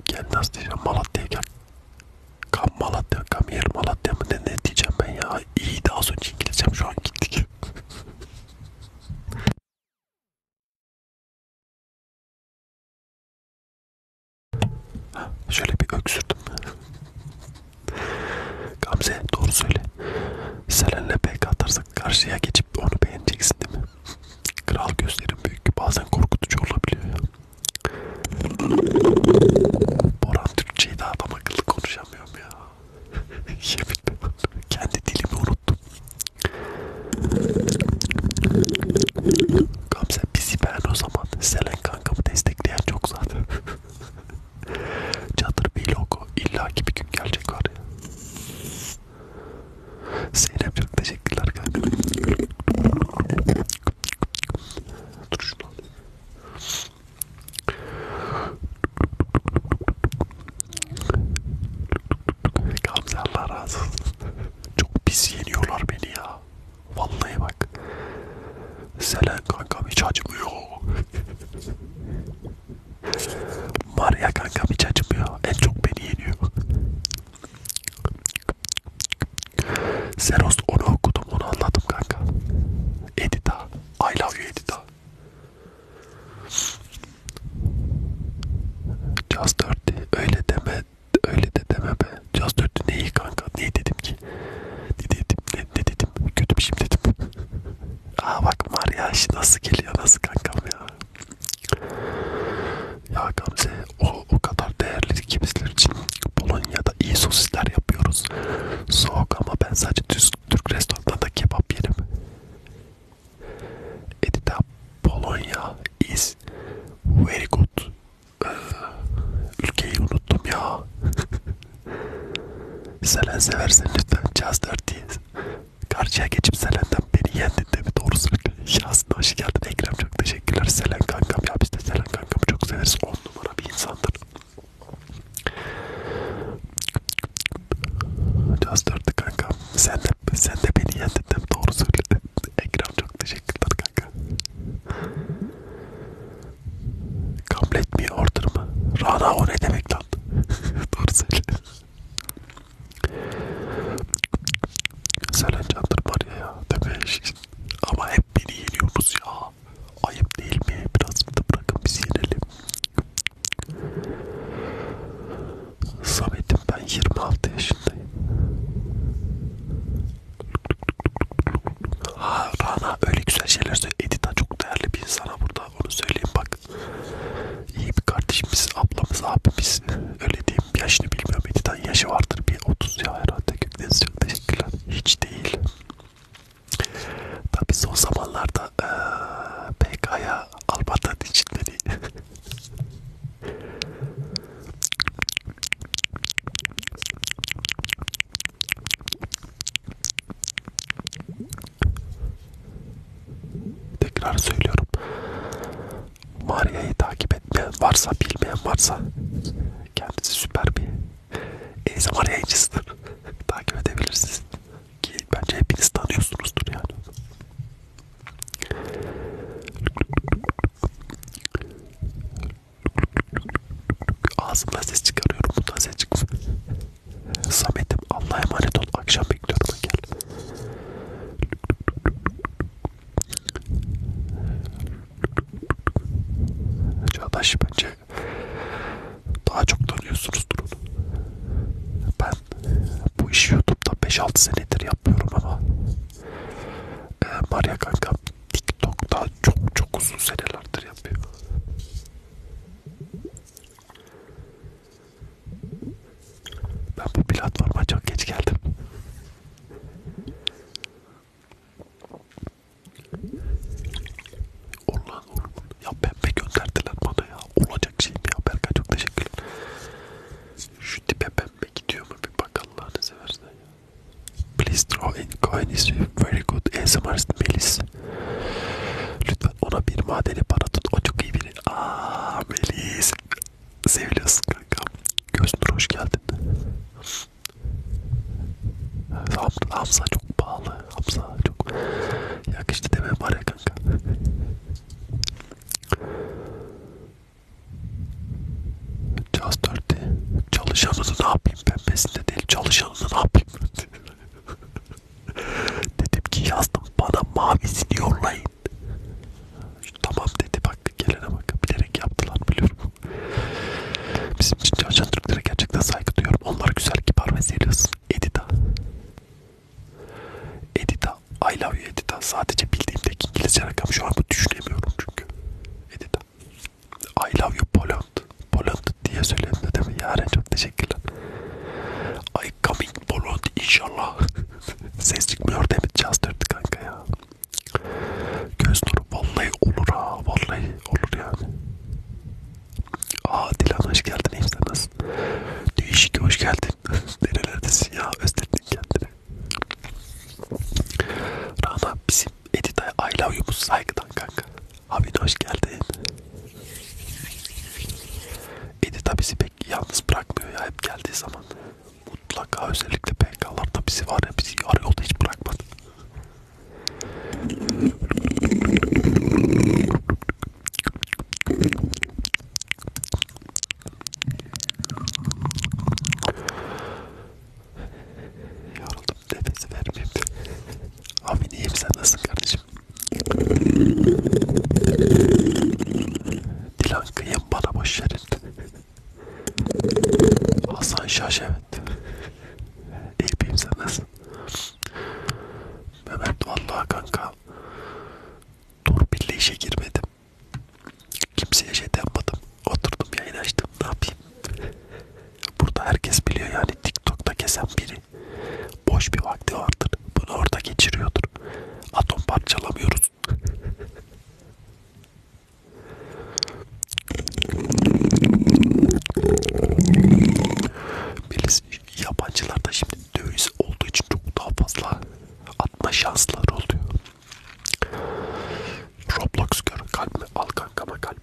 Gel nasıl diyeceğim Malatya'ya gel. Kam Malatya, kam yer Malatya mı ne, ne diyeceğim ben ya. İyi daha az önce İngilizcem şu an gittik. (laughs) Şöyle bir öksürdüm. Gamze doğru söyle. Selen'le pek atarsak karşıya geçip onu beğeneceksin değil mi? Kral gözlerim büyük bazen korkutucu olabiliyor ya. Boran Türkçe'yi de adam akıllı konuşamıyorum ya. (laughs) Yemin Kendi dilimi unuttum. Gamze bizi beğen o zaman. Selen kankamı destekleyen çok zaten. (laughs) Çadır bir logo illaki bir gün gelecek var ya. Zeynep çok teşekkürler kardeşim. Dur şunu alayım. Gamze Allah razı olsun. Çok pis yeniyorlar beni ya. Vallahi bak. Selen kanka hiç acımıyor. Var ya kankam hiç acımıyor. En çok beni yeniyor. Seros onu okudum onu anladım kanka. Edita. I love you Edita. Just 30. Öyle deme. Öyle de deme be. Just 30 neyi kanka? Neyi dedim ki? Ne dedim? Ne, ne dedim? Kötü bir şey dedim. Aa bak Mariaş nasıl geliyor nasıl kankam ya. Ya Gamze o, o kadar değerli ki bizler için Polonya'da iyi sosisler yapıyoruz. Soğuk ama ben sadece Türk, Türk restoranlarında kebap yerim. Edita Polonya is very good. Ee, ülkeyi unuttum ya. (laughs) Selen seversen lütfen Caz 4 Karşıya geçip Selen'den beni yendin de mi doğru söylüyor. Şahsına hoş geldin Ekrem çok teşekkürler. Selen kankam ya biz de Selen kankamı çok severiz. On numara bir insandır. Caz dördü kanka. Sen de, sen de beni yendin de mi doğru söylüyor. Ekrem çok teşekkürler kanka. Kabul etmiyor order mı? Rana o ne demek lan? (laughs) doğru söylüyor. Selencan'dır var ya ya demiş. Ama hep beni yeniyoruz ya. Ayıp değil mi? Biraz da bırakın biz yenelim. Samet'im ben 26 yaşındayım. Ha Rana öyle güzel şeyler söylüyor. Edita çok değerli bir insana burada onu söyleyeyim bak iyi bir kardeşimiz, ablamız, abimiz. Öyle diyeyim. Yaşını bilmiyorum. Editan yaşı vardır. Bir 30 ya herhalde. Gökdeniz çok teşekkürler. Hiç değil. Tabi son zamanlarda ee, PK'ya almadan için beni Tekrar söylüyorum. Maria'yı takip etmeyen varsa, bilmeyen varsa kendisi süper bir ASMR yayıncısıdır. (laughs) takip edebilirsiniz. Ki bence hepiniz tanıyorsunuzdur yani. Ağzımdan ses çıkarıyorum. Bundan ses çıkmıyor. Samet'im Allah'a emanet ol. Akşam bekliyorum gel. Çağdaş bence daha çok tanıyorsunuz durun. Ben bu işi YouTube'da 5-6 senedir yapıyorum ama e, Maria kanka TikTok'ta çok çok uzun senelerdir yapıyor. Ben bu platforma çok geç geldim. Ulan oğlum ya pembe gönderdiler bana ya. Olacak şey mi ya Berkay çok teşekkürler. Şu tipe pembe gidiyor mu bir bak Allah'ını seversen ya. Please draw in coin is very good ASMR Melis. Lütfen ona bir madeni para tut. O çok iyi biri. Aaa Melis. Seviliyorsun kanka. Göznur hoş geldin. Evet, Hamza, Hamza çok pahalı. Hamza çok yakıştı deme var ya kanka. Caz 4'te çalışanını ne yapayım pembesinde değil çalışanını ne yapayım (laughs) (laughs) Dedim ki yazdım bana mavisini yollayın. Tamam dedi bak gelene bak bilerek yaptılar biliyorum. Bizim için çalışan Türklere gerçekten saygı duyuyorum. Onlar güzel, kibar ve serious. Edita. Edita. I love you Edita. Sadece bildiğimdeki İngilizce rakam şu an bu düşünemiyorum çünkü. Edita. I love you Poland. Poland diye söyledim de değil mi? Yaren çok teşekkürler. I coming Bolond inşallah. (laughs) Ses çıkmıyor değil mi? Çastırdı kanka ya. Göz nuru vallahi olur ha. Vallahi olur yani. Aa Dilan hoş geldin. Hepsi nasıl? Değişik hoş geldin. (laughs) Nerelerdesin ya? Özledin kendini. Rana bizim Edita'ya I love you'muz saygıdan kanka. Abi hoş geldin. Edita bizi pek yalnız bırakmıyor ya hep geldiği zaman. Mutlaka özellikle PK'larda bizi var ya bizi arıyordu hiç bırakmadı. Yoruldum nefes vermeyeyim. Abi iyiyim sen nasılsın kardeşim? Dilan kıyım bana boşverin. Hasan Şaş evet. İyiyim sen nasılsın? Mehmet vallahi kanka. Dur birle işe girmedim. Kimseye şey yapmadım. Oturdum yayın açtım. Ne yapayım? Burada herkes biliyor yani TikTok'ta kesen biri boş bir vakti vardır. Bunu orada geçiriyordur. Atom parçalamıyoruz. Bilirsin yabancılarda şimdi döviz olduğu için çok daha fazla atma şansları oluyor. Roblox gör kalp mi? Al kankama kalp.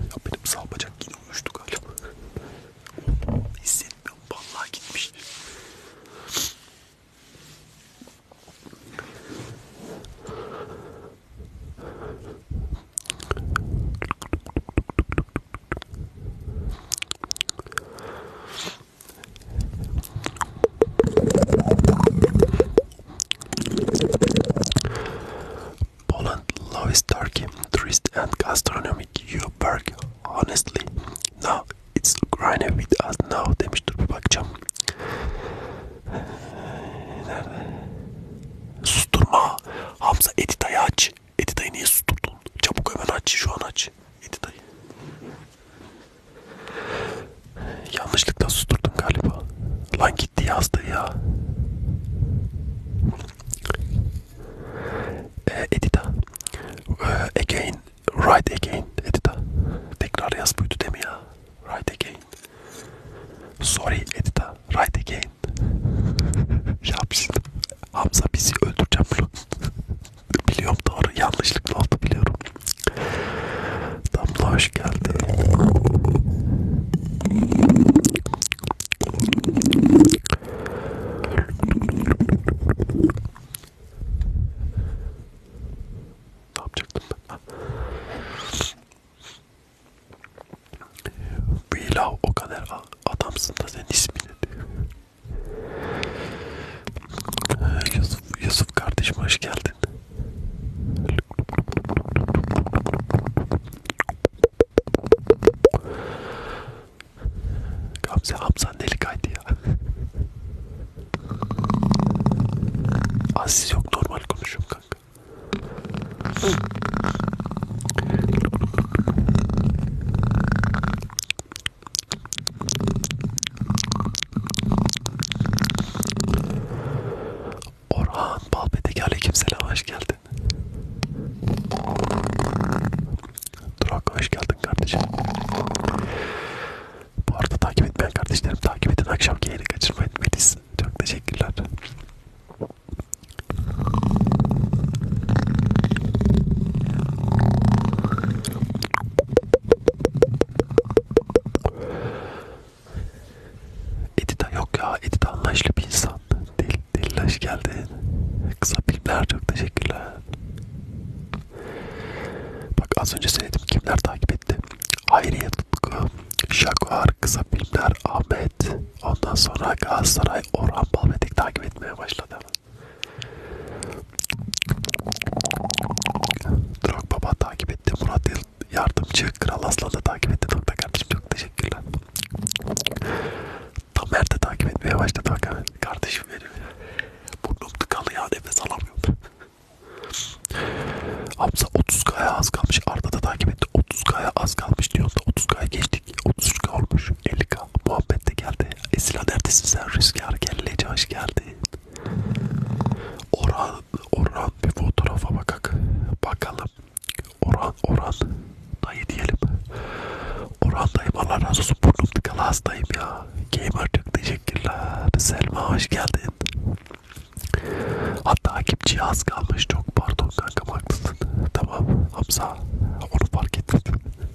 Ya benim sağ bacak yine uyuştu galiba. Hissetmiyorum. Vallahi gitmiş. Poland loves Turkey, tourist and gastronomic you work honestly. No, it's Ukraine with us now demiş dur bir bakacağım. Nerede? Susturma. Hamza Edita'yı aç. Edita'yı niye susturdun? Çabuk hemen aç. Şu an aç. Edita'yı. Yanlışlıkla susturdum galiba. Lan gitti yazdı ya. Ee, Edita. Ee, again. Right again. Edita. Tekrar yaz buydu değil mi ya? Right again. Sorry Edita. Right again. (laughs) ya biz, Hamza bizi öldüreceğim bunu. (laughs) biliyorum doğru. Yanlışlıkla oldu biliyorum. Damla hoş geldi. Ne yapacaktım ben? Vilav ah. o kadar adamsın da senin ismini ee, Yusuf, Yusuf kardeşim hoş geldin. Gamze Hamza deli kaydı ya. Aziz yok normal konuşum kanka. Orhan Balbedeki aleykümselam hoş geldin. Durak hoş geldin kardeşim. Bu arada takip etmeyen kardeşlerim takip edin. Akşamki yayını kaçırmayın. Melis çok teşekkürler. Edita yok ya. Edita anlayışlı bir insan. Del, delilaş geldi. Kısa filmler çok teşekkürler. Bak az önce söyledim kimler takip etti. Hayriye Tutku, Şakuar, Kısa Filmler, Ahmet. Ondan sonra Galatasaray, Orhan Balmedik takip etmeye başladı. Drogba takip etti. Murat yardımcı Kral Aslan'ı takip etti nokta kardeşim çok teşekkürler. Tamer de takip etmeye başladı bak kardeşim benim. Burnum tıkalı ya nefes alamıyorum. Hamza 30k'ya az kalmış Arda da takip etti 30k'ya az kalmış diyor da 30k'ya geçtik 33k olmuş 50k muhabbet de geldi Esila neredesin sen Rüzgar Kelleci hoş geldin Orhan Orhan bir fotoğrafa bakak. Bakalım. Orhan, Orhan. Dayı diyelim. Orhan dayım Allah razı olsun. Burnum tıkalı hastayım ya. Gamer çok teşekkürler. Selma hoş geldin. Hatta takipçiye az kalmış. Çok pardon kanka haklısın. Tamam Hamza. Onu fark ettim.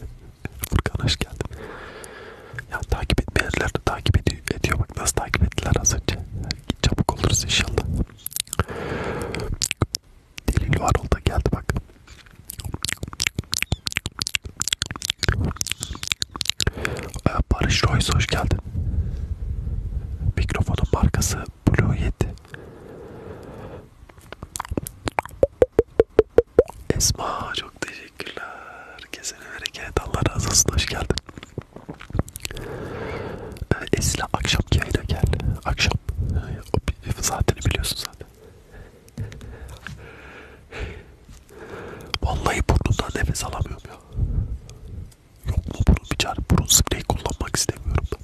(laughs) Furkan hoş geldin. Ya takip etmeyenler de takip ediyor. ediyor. Bak nasıl takip ettiler az önce çabuk oluruz inşallah. Delil var oldu geldi bak. Ee, Barış Royce hoş geldin. Mikrofonun markası Blue Yeti. Esma çok teşekkürler. Kesene bereket. Allah razı olsun. Hoş geldin. E, Esra akşam yayına geldi. Akşam. Zaten biliyorsun zaten. Vallahi burnundan nefes alamıyorum ya. Yok mu burun bir çare? Burun spreyi kullanmak istemiyorum ben.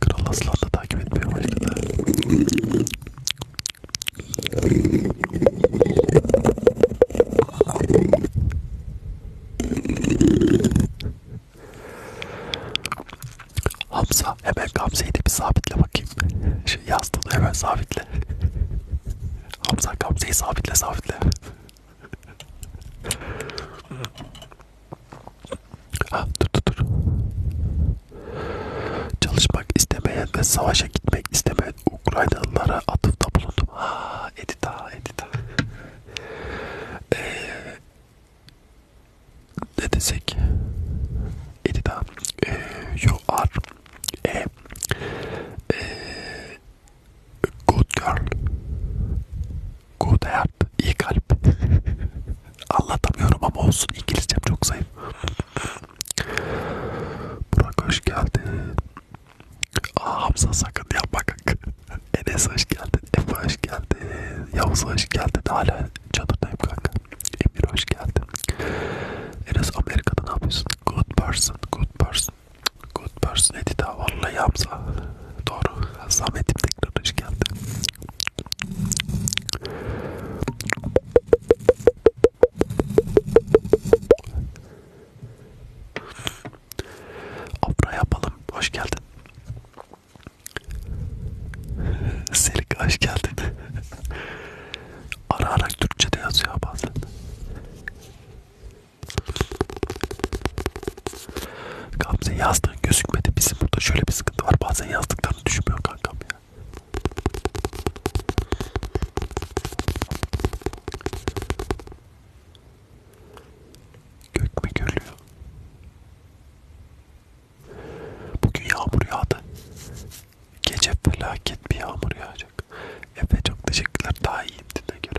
Kral Aslan da takip etmeye başladı. Hamza hemen Gamze'yi de bir sabitle bakayım. Şey yazdım hemen sabitle. Hamza Gamze'yi sabitle sabitle. Ha, ah, dur dur dur. Çalışmak istemeyen ve savaşa gitmek istemeyen Ukraynalılara atıfta bulundum. Ha, edita, edita. ee, ne desek? Edita. Ee, you are a, a e, good girl. Good heart, iyi kalp. (laughs) Anlatamıyorum ama olsun İngilizcem çok zayıf. Burak hoş geldin. Aa, Hamza sakın yapma kanka. (laughs) Enes hoş geldin. Efe hoş geldin. Yavuz hoş geldin. Hala çadırdayım kanka. Emir hoş geldin. Enes Amerika'da ne yapıyorsun? Good person, good person. Good person dedi daha vallahi Hamza. Doğru. Zahmetim tekrar hoş geldin. Abra yapalım. Hoş geldin. (laughs) Selik hoş geldin. ara ara Türkçe de yazıyor bazen. Gamze yazdığın gözükmedi. Bizim burada şöyle bir sıkıntı var. Bazen yazdıklarını düşünmüyor kankam ya. Gök mü gülüyor? Bugün yağmur yağdı. Gece felaket bir yağmur yağacak. Efe çok teşekkürler. Daha iyiyim dinle göre.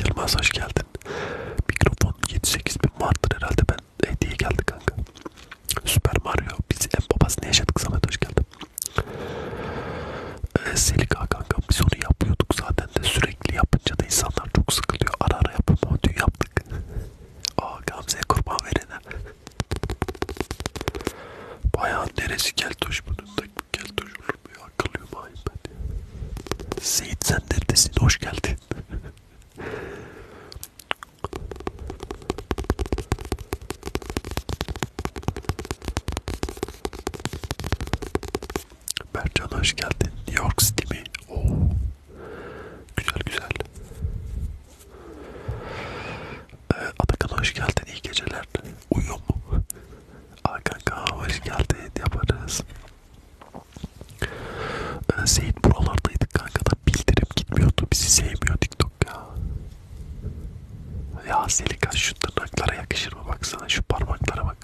Yılmaz hoş geldin. Mikrofon 7-8 bin vardır herhalde ben hediye geldi kanka. Süper Mario biz en babasını yaşadık Samet hoş geldin. Ee, Selika kanka biz onu yapıyorduk zaten de sürekli yapınca da insanlar çok sıkılıyor. Ara ara yapalım ama dün yaptık. (laughs) Aa Gamze'ye kurban verene. Bayağı neresi keltoş bunun da keltoş olur mu ya? Akıllıyım ayım ben. Seyit sen neredesin? Hoş geldin. (laughs) Bercan hoş geldin. New York City mi? Oo. Güzel güzel. Ee, Atakan hoş geldin. İyi geceler. Uyuyor mu? Hakan hoş geldin. Yaparız. Ee, Seyit buralardaydık kanka da bildirip gitmiyordu. Bizi sevmiyor TikTok ya. Ya Selika şu tırnaklara yakışır mı baksana şu parmaklara bak.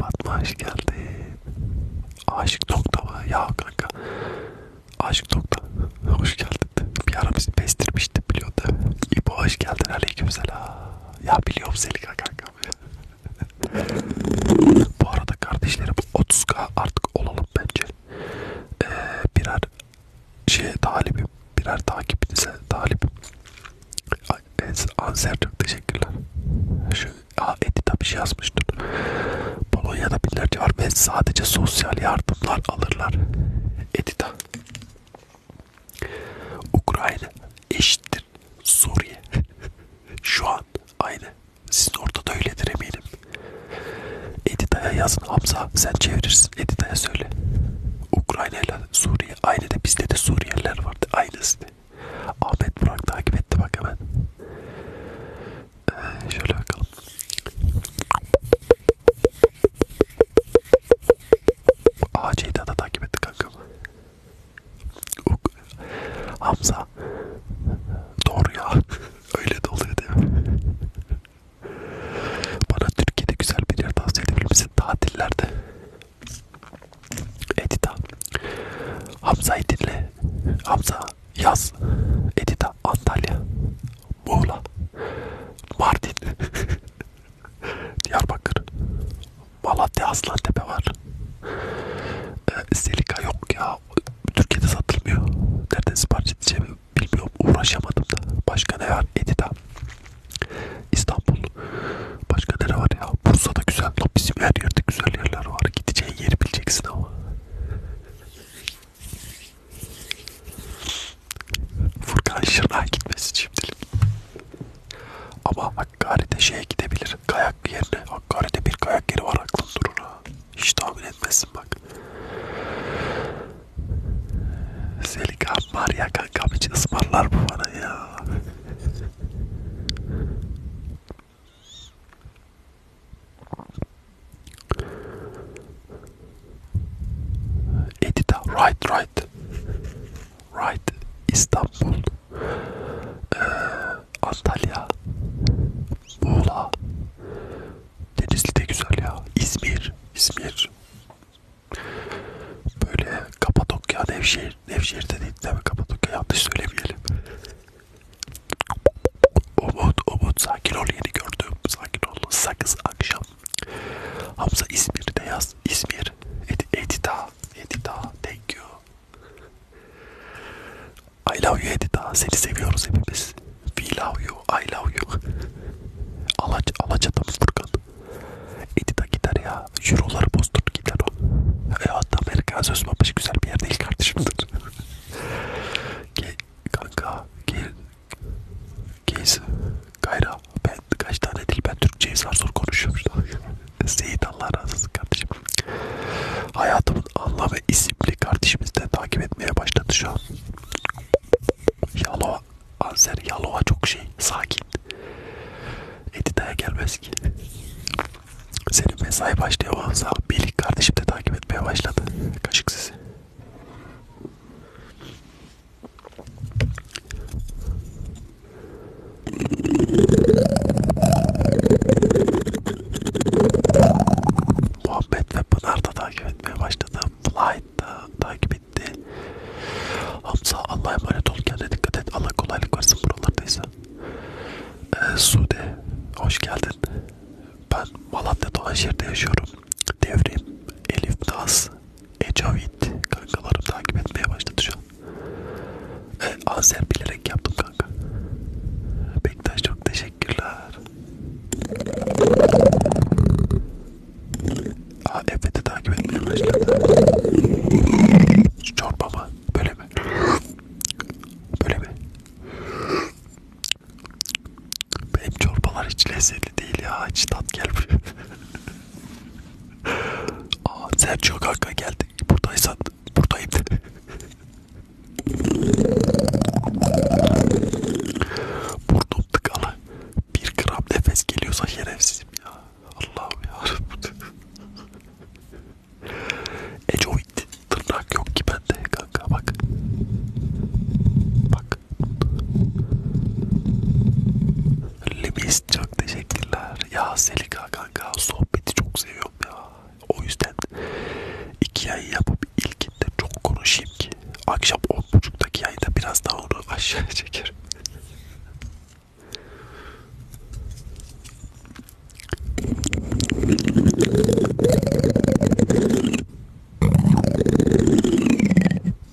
Fatma hoş geldin. Aşık nokta mı? Ya kanka. Aşık nokta. Hoş geldin. Bir ara bizi bestirmişti biliyordu. İbo hoş geldin. Aleyküm selam. Ya biliyorum Selika kanka bu arada kardeşlerim 30k artık olalım bence. Ee, birer şey talibim, birer takipinize talibim. Anser çok teşekkürler. Şu Edita bir şey yazmıştın. Polonya'da binlerce var ve sadece sosyal yardımlar alırlar. Edita. Ukrayna eşittir Suriye. (laughs) Şu an aynı. Sizin ortada öyledir eminim. Edita'ya yazın Hamza sen çevirirsin. Edita'ya söyle. Ukrayna ile Suriye aynı de bizde de Suriyeliler vardı. Aynısı de. Ahmet Burak takip etti bak hemen. Ee, şöyle bakalım. AC'yi da takip etti kankam. Hamza doğru ya (laughs) öyle de oluyor değil mi? Bana Türkiye'de güzel bir yer tavsiye edebilir misin tatillerde? Edita Hamza'yı dinle Hamza yaz Edita Antalya Muğla Mardin (laughs) Diyarbakır Malatya Aslantepe var. Ee, Selika yok ya. Türkiye'de satılmıyor. Nereden sipariş edeceğimi bilmiyorum. Uğraşamadım da. Başka ne var? Edita. İstanbul. Başka nere var ya? Bursa'da güzel. Bizim her yerde güzel yerler var. Gideceğin yeri bileceksin ama. Furkan Şırnak'a gitmesi şimdilik. Ama Hakkari'de şeye gidebilir. Kaya kayak yerine Hakkari'de bir kayak yeri var aklın durur ha. Hiç tahmin etmezsin bak. Selika var ya kankam hiç ısmarlar mı bana ya? Edita right right Right İstanbul ee, Antalya Muğla Denizli de güzel ya İzmir İzmir Böyle Kapadokya Nevşehir Nevşehir de değil tabi Kapadokya yanlış söylemeyelim Umut Umut sakin ol yeni gördüm sakin ol sakız akşam Hamza İzmir'de yaz İzmir Edita Edita thank you I love you Edita. Seni seviyoruz hepimiz. We love you. I love you. Alaç, Alaçat'a mı Furkan? Edita gider ya. Euroları bozdur gider o. E hatta Amerikan söz babası güzel bir yer değil kardeşimdir. Ge kanka gel. Gez. Gayra. Ben kaç tane dil ben Türkçe'yi zar zor konuşuyorum. Seyit Allah razı olsun kardeşim. Hayatımın anlamı isimli kardeşimiz de takip etmeye başladı şu an. Yalova, Anzer Yalova çok şey, sakin. Edita'ya gelmez ki. Senin mesai başlıyor Anza. Birlik kardeşim de takip etmeye başladı. Kaşık sizi. Muhabbet ve Pınar da takip etmeye başladı. Flight da takip etti. Hamza Allah'a emanet ol kendine dikkat et. Allah kolaylık versin buralardaysa. Ee, Sude hoş geldin. Ben Malatya Dolaşehir'de yaşıyorum. Devrim, Elif Naz, Ecavit kankalarım takip etmeye başladı şu an. E, (laughs) Azer bilerek yaptım kanka. Bektaş çok teşekkürler. Aa evet takip etmeye başladı. Çorba mı? Böyle mi? Böyle mi? Benim çorbalar hiç lezzetli değil ya. Hiç tat gelmiyor. (laughs) Aa Sergio kanka geldi. Buradaysan buradayım. Burnum tıkalı. Bir gram nefes geliyorsa şerefsizim ya. Allah'ım yarabbim. Ecovit tırnak yok ki bende kanka bak. Bak. Limis çok teşekkürler. Ya Selika kanka sohbeti çok seviyorum ya. O yüzden iki yayın yapıp ilkinde çok konuşayım ki akşam 10.30'daki yayında biraz daha onu (laughs) aşağıya çekerim.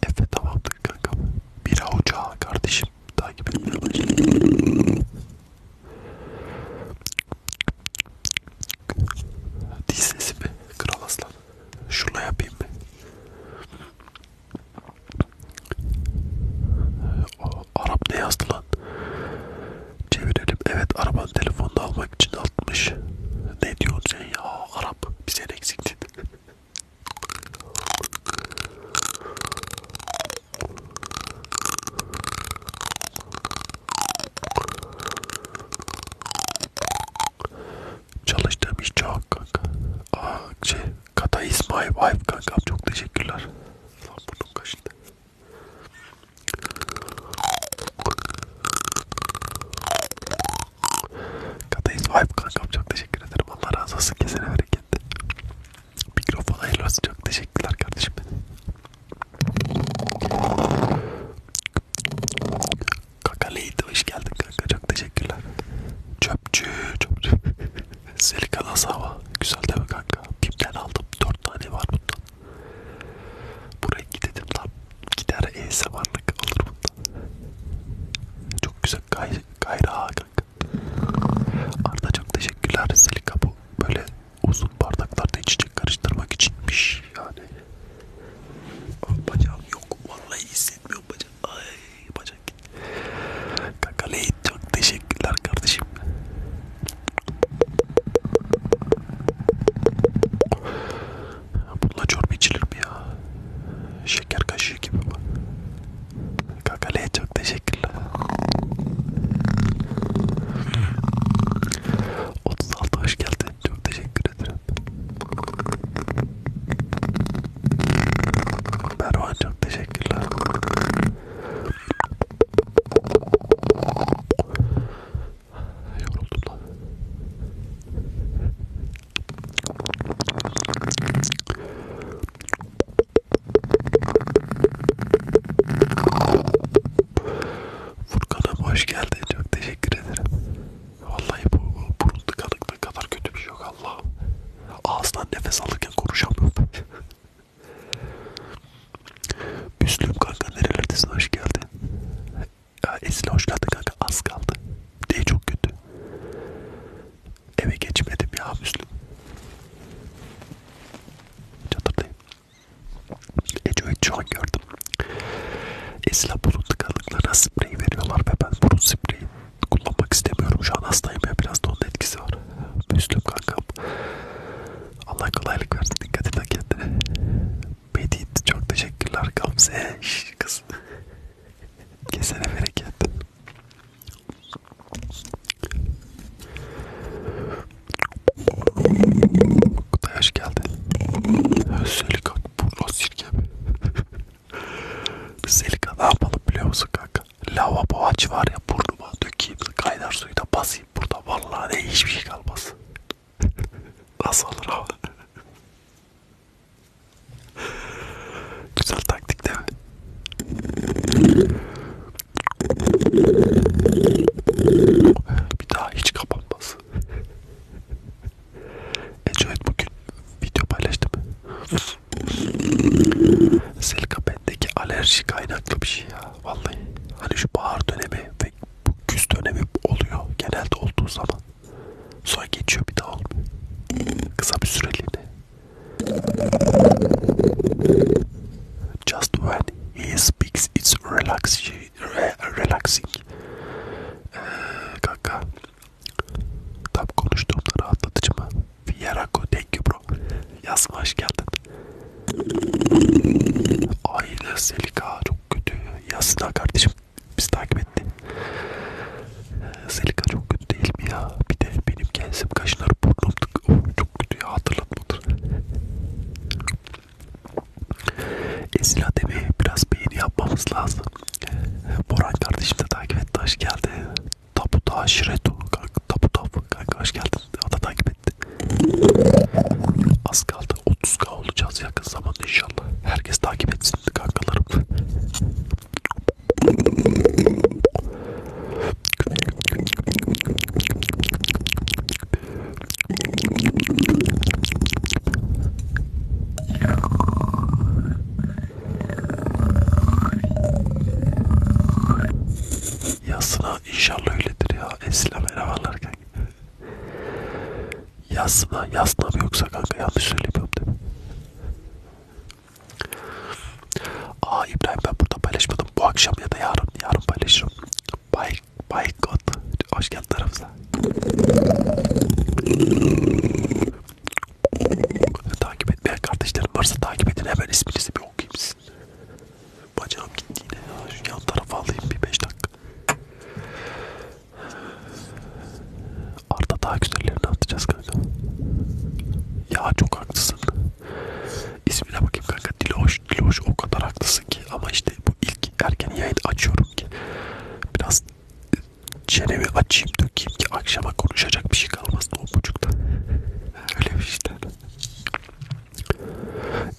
Efe tamamdır kankam. Bir ocağa kardeşim takip etmeye başladım. Diz sesi mi? Kral aslan. Şurla yapayım mı? Ee, Arap ne yazdı lan? Çevirelim. Evet arabanın telefonunu almak için 60. Ne diyorsun sen ya? Arap bize eksiktin. Çalıştığım iş çok kanka. Aa, şey, Kata is my wife kanka. Çok teşekkürler. Lan burnum kaşındı. Katayız vibe kankam çok teşekkür ederim. Allah razı olsun kesene bereketli. Mikrofon hayırlı olsun. Çok teşekkürler kardeşim benim. Kaka Leydi hoş geldin kanka. Çok teşekkürler. Çöpçü, çöpçü. Selika (laughs) nasıl hava? Güzel değil mi kanka? Bim'den aldım. 4 tane var bundan. Buraya gidelim lan. Gider ASMR'lık alır bundan. Çok güzel gay gayra kanka. Arda çok teşekkürler. Selika bu böyle uzun bardaklarda içecek karıştırmak içinmiş yani. Bacağım yok vallahi hissetmiyorum bacak. Ay bacak. Kanka Leyit çok teşekkürler kardeşim. Bununla çorba içilir mi ya? Şeker kaşığı gibi bu. Kakale'ye çok teşekkürler. 36 hoş geldin. Çok teşekkür ederim. Mervan çok teşekkürler. Yoruldum lan. Furkan'ım hoş geldin. Çok teşekkür ederim. Vallahi bu, bu burun tıkanıklığı kadar kötü bir şey yok Allah. Ağızdan nefes alırken konuşamıyorum. (laughs) Müslüm kanka nerelerdesin hoş geldin. Ya Esin hoş geldin kanka az kaldı. Değil çok kötü. Eve geçmedim ya Müslüm. Çatırdayım. Eco'yu çok gördüm. Esla burun tıkanıklarına sprey veriyorlar ve ben burun spreyi kullanmak istemiyorum. Şu an hastayım ya biraz da onun etkisi var. Müslüm kankam. Allah kolaylık versin. Dikkat edin kendine. Medit çok teşekkürler Gamze. Şş, kız. Kesene bereket. Kutay hoş geldin. Selik kanka burla sirke mi? Selika ne yapalım biliyor musun kanka? Lavabo aç var ya burnuma dökeyim kaynar suyu da basayım burada. Vallahi ne hiçbir şey kalmaz. Nasıl olur ama? Güzel taktik değil mi? Bir daha hiç kapanmaz. Ecoet bugün video paylaştım. Selka bendeki alerji kaynaklı bir şey ya. Vallahi hani şu bahar dönemi ve bu güz dönemi oluyor. Genelde olduğu zaman. Sonra geçiyor bir daha olmuyor. Kısa bir süreliğine. Just when he speaks it's relaxing. relaxing. Ee, kanka. Tam konuştuğumda rahatlatıcı mı? Fiyeraco thank you bro. Yazma hoş geldin. Ayla Selika çok kötü. Yasına kardeşim biz takip etti. Ee, Selika çok kötü değil mi ya? Bir de benim kendim kaşınlar burnum oh, çok kötü ya. Hatır hatırlatmadır. Esil Adem'i biraz beğeni yapmamız lazım. Boran kardeşim de takip etti. Hoş geldi. Tapu da şiretu. Tapu tapu. Kanka hoş geldin. O da takip etti. Az kaldı. 30k olacağız yakın zamanda inşallah. Herkes takip etsin kankalarım. Yasına inşallah öyledir ya. Esile beraberlerken. Yasına, yasına mı yoksa kanka yanlış söylemiyorum değil mi? Aa İbrahim ben burada paylaşmadım. Bu akşam ya da yarın, yarın paylaşırım. Bay, Baykot. Hoş geldin tarafıza. takip etmeyen kardeşlerim varsa takip edin. Hemen isminizi bir okuyayım sizin. Bacağım gitti yine ya. Şu yan tarafa alayım bir 5 dakika. Arda daha güzellerini atacağız kanka. Ya çok haklısın. İsmine bakayım kanka Diloş. Diloş o kadar haklısın ki ama işte bu ilk erken yayın açıyorum ki biraz çenemi açayım dökeyim ki akşama konuşacak bir şey kalmaz o buçukta. Öyle bir işte.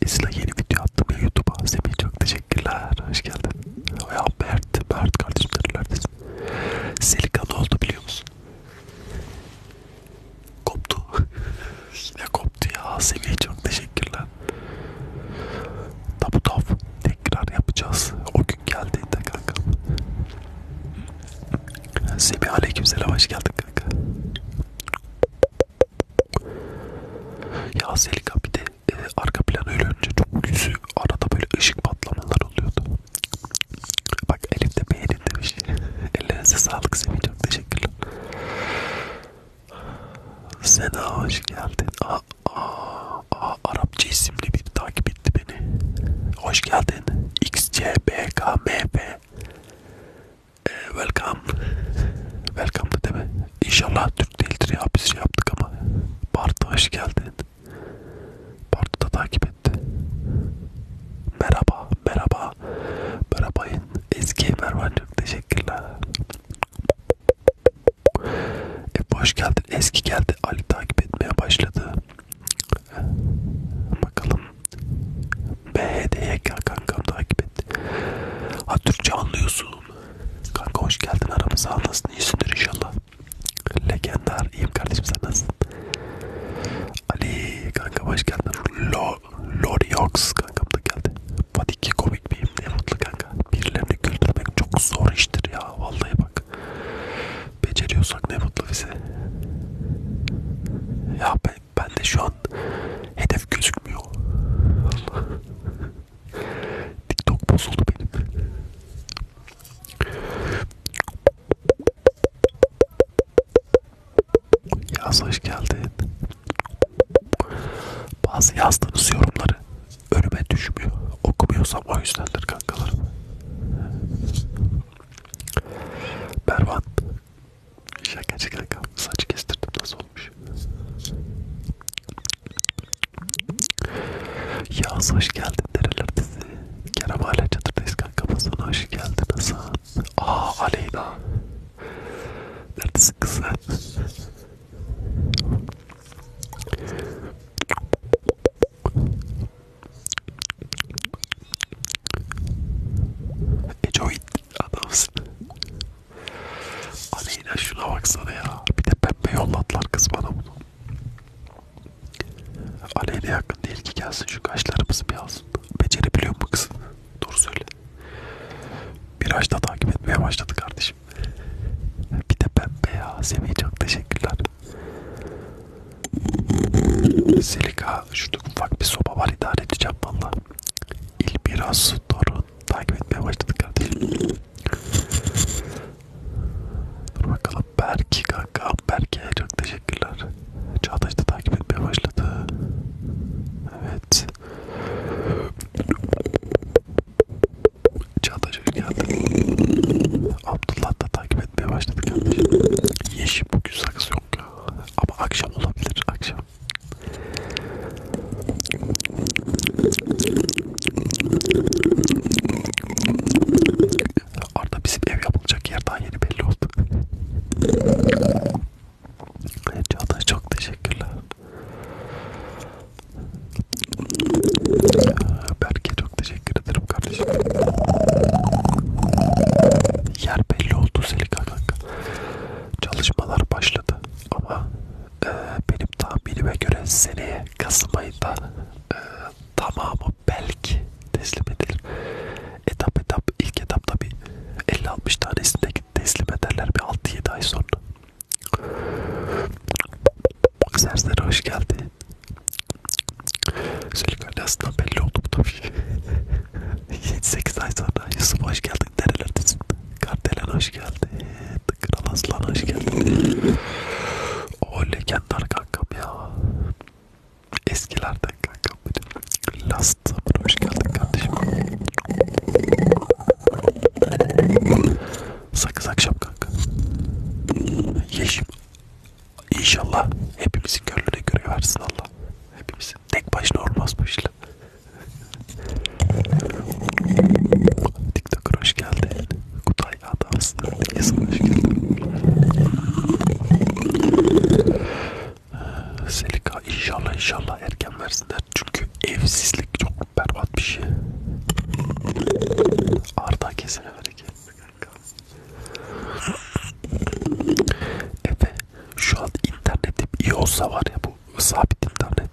İsla yeni video attım ya YouTube'a. Semih çok teşekkürler. Hoş geldin. Ya Mert, Mert kardeşim nerelerdesin? Selika ne oldu biliyor musun? Koptu. (laughs) Yine koptu ya. Semih çok teşekkürler. Tabu tav. Tekrar yapacağız. O gün geldiğinde kanka. Semih aleykümselam hoş geldin kanka. Ya Selika bir de e, arka plan öyle önce çok yüzü arada böyle ışık patlamalar oluyordu. Bak elimde beğeni demiş. (laughs) Ellerinize sağlık Semih çok teşekkürler. Seda hoş geldin. Aa, aa, aa, Arapça isimli biri takip etti beni. Hoş geldin. XCBKMP. Ee, welcome. Welcome da deme. İnşallah Türk değildir ya biz şey yaptık ama. Bartu hoş geldin. Bartu da takip etti. Merhaba, merhaba Aa, Barabay'ın eski Mervan çok teşekkürler. E hoş geldin. Eski geldi. Ali takip etmeye başladı. Bakalım. BHD'ye gel kankam takip et. Ha Türkçe anlıyorsun. Kanka hoş geldin aramıza. Nasılsın? İyisindir inşallah. Legender. İyiyim kardeşim sen nasılsın? Ali kanka hoş geldin. Lol. Loriox kankam da geldi. Fatih komik miyim ne mutlu kanka. Birilerini güldürmek çok zor iştir ya. Vallahi bak. Beceriyorsak ne mutlu bize. Ya ben, ben de şu an hedef gözükmüyor. Allah. (laughs) TikTok bozuldu benim. Yaz hoş geldin. Bazı yazdığınız yorumları önüme düşmüyor. Okumuyorsam o yüzdendir kankalarım. Bervan. Şakacı kanka. Saç kestirdim nasıl olmuş. Yaz hoş geldin nerelerdesin? Kerem hala çadırdayız kanka. Sana hoş geldin Hasan. Aa Aleyna. Neredesin kızlar? Ecoid adamsın. Aleyna hani şuna baksana ya. Bir de pembe yolladılar kız bana bunu. Aleyna yakın değil ki gelsin şu kaşlarımızı bir alsın. Becerebiliyor mu kız? Doğru söyle. Biraz da takip etmeye başladı kardeşim. Bir de pembe ya. Semih çok teşekkürler. Selika şurada ufak bir soba var idare edeceğim valla. İl biraz doğru takip etmeye başladık kardeşim. Dur bakalım Berki kanka. Berki'ye çok teşekkürler. Çağdaş da takip etmeye başladı. Evet. Çağatay Çocuk geldi. Abdullah da takip etmeye başladı kardeşim. Yeşil bugün sakız yok ya. Ama akşam olabilir akşam. Arda bizim ev yapılacak yer daha yeni belli oldu. Çağatay çok teşekkürler. Ee, Berke çok teşekkür ederim kardeşim. Yer belli oldu Selika kanka. Çalışmalar başladı ama e, benim tahminime göre seneye Kasım ayında e, tamamı belki teslim edilir. Etap etap ilk etap tabi 50-60 tanesinde şekilde teslim ederler bir 6-7 ay sonra. Serseri hoş geldi. Söyle aslında belli oldu bu tabii. 7-8 (laughs) ay sonra Yusuf hoş geldin nerelerdesin? Kardelen hoş geldi. Kral Aslan hoş geldin. O legendar kankam ya. Eskilerden kankam benim. Last Supper hoş geldin kardeşim. Sakız akşam kanka. Yeşim. İnşallah hepimizin gönlüne göre versin Allah. Hepimizin tek başına olmaz bu işler. TikToker hoş geldin. Kutay Adams. Yazın hoş geldin. Ee, Selika inşallah inşallah erken versinler. Çünkü evsizlik çok berbat bir şey. Arda kesene bereket. Efe şu an internetim iyi olsa var ya bu sabit internet.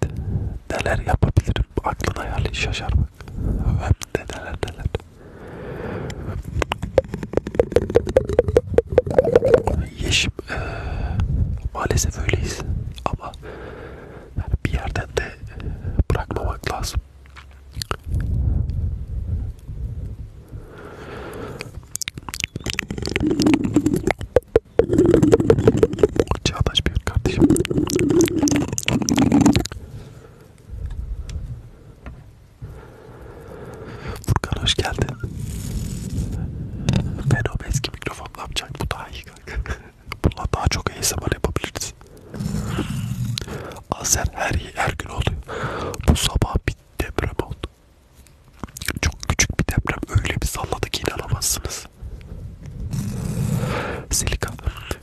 Neler yapabilirim aklın hayali şaşar bak. Hem de neler neler. Yeşim e, maalesef öyleyiz ama yani bir yerden de e, bırakmamak lazım. Çağdaş bir kardeşim. Furkan hoş geldin. Ben o eski mikrofon ne yapacak? Bu daha iyi kanka. (laughs) Bununla daha çok ASMR yapabiliriz. Azer her, her gün oluyor. Bu sabah bir deprem oldu. Çok küçük bir deprem. Öyle bir salladı ki inanamazsınız. Silika.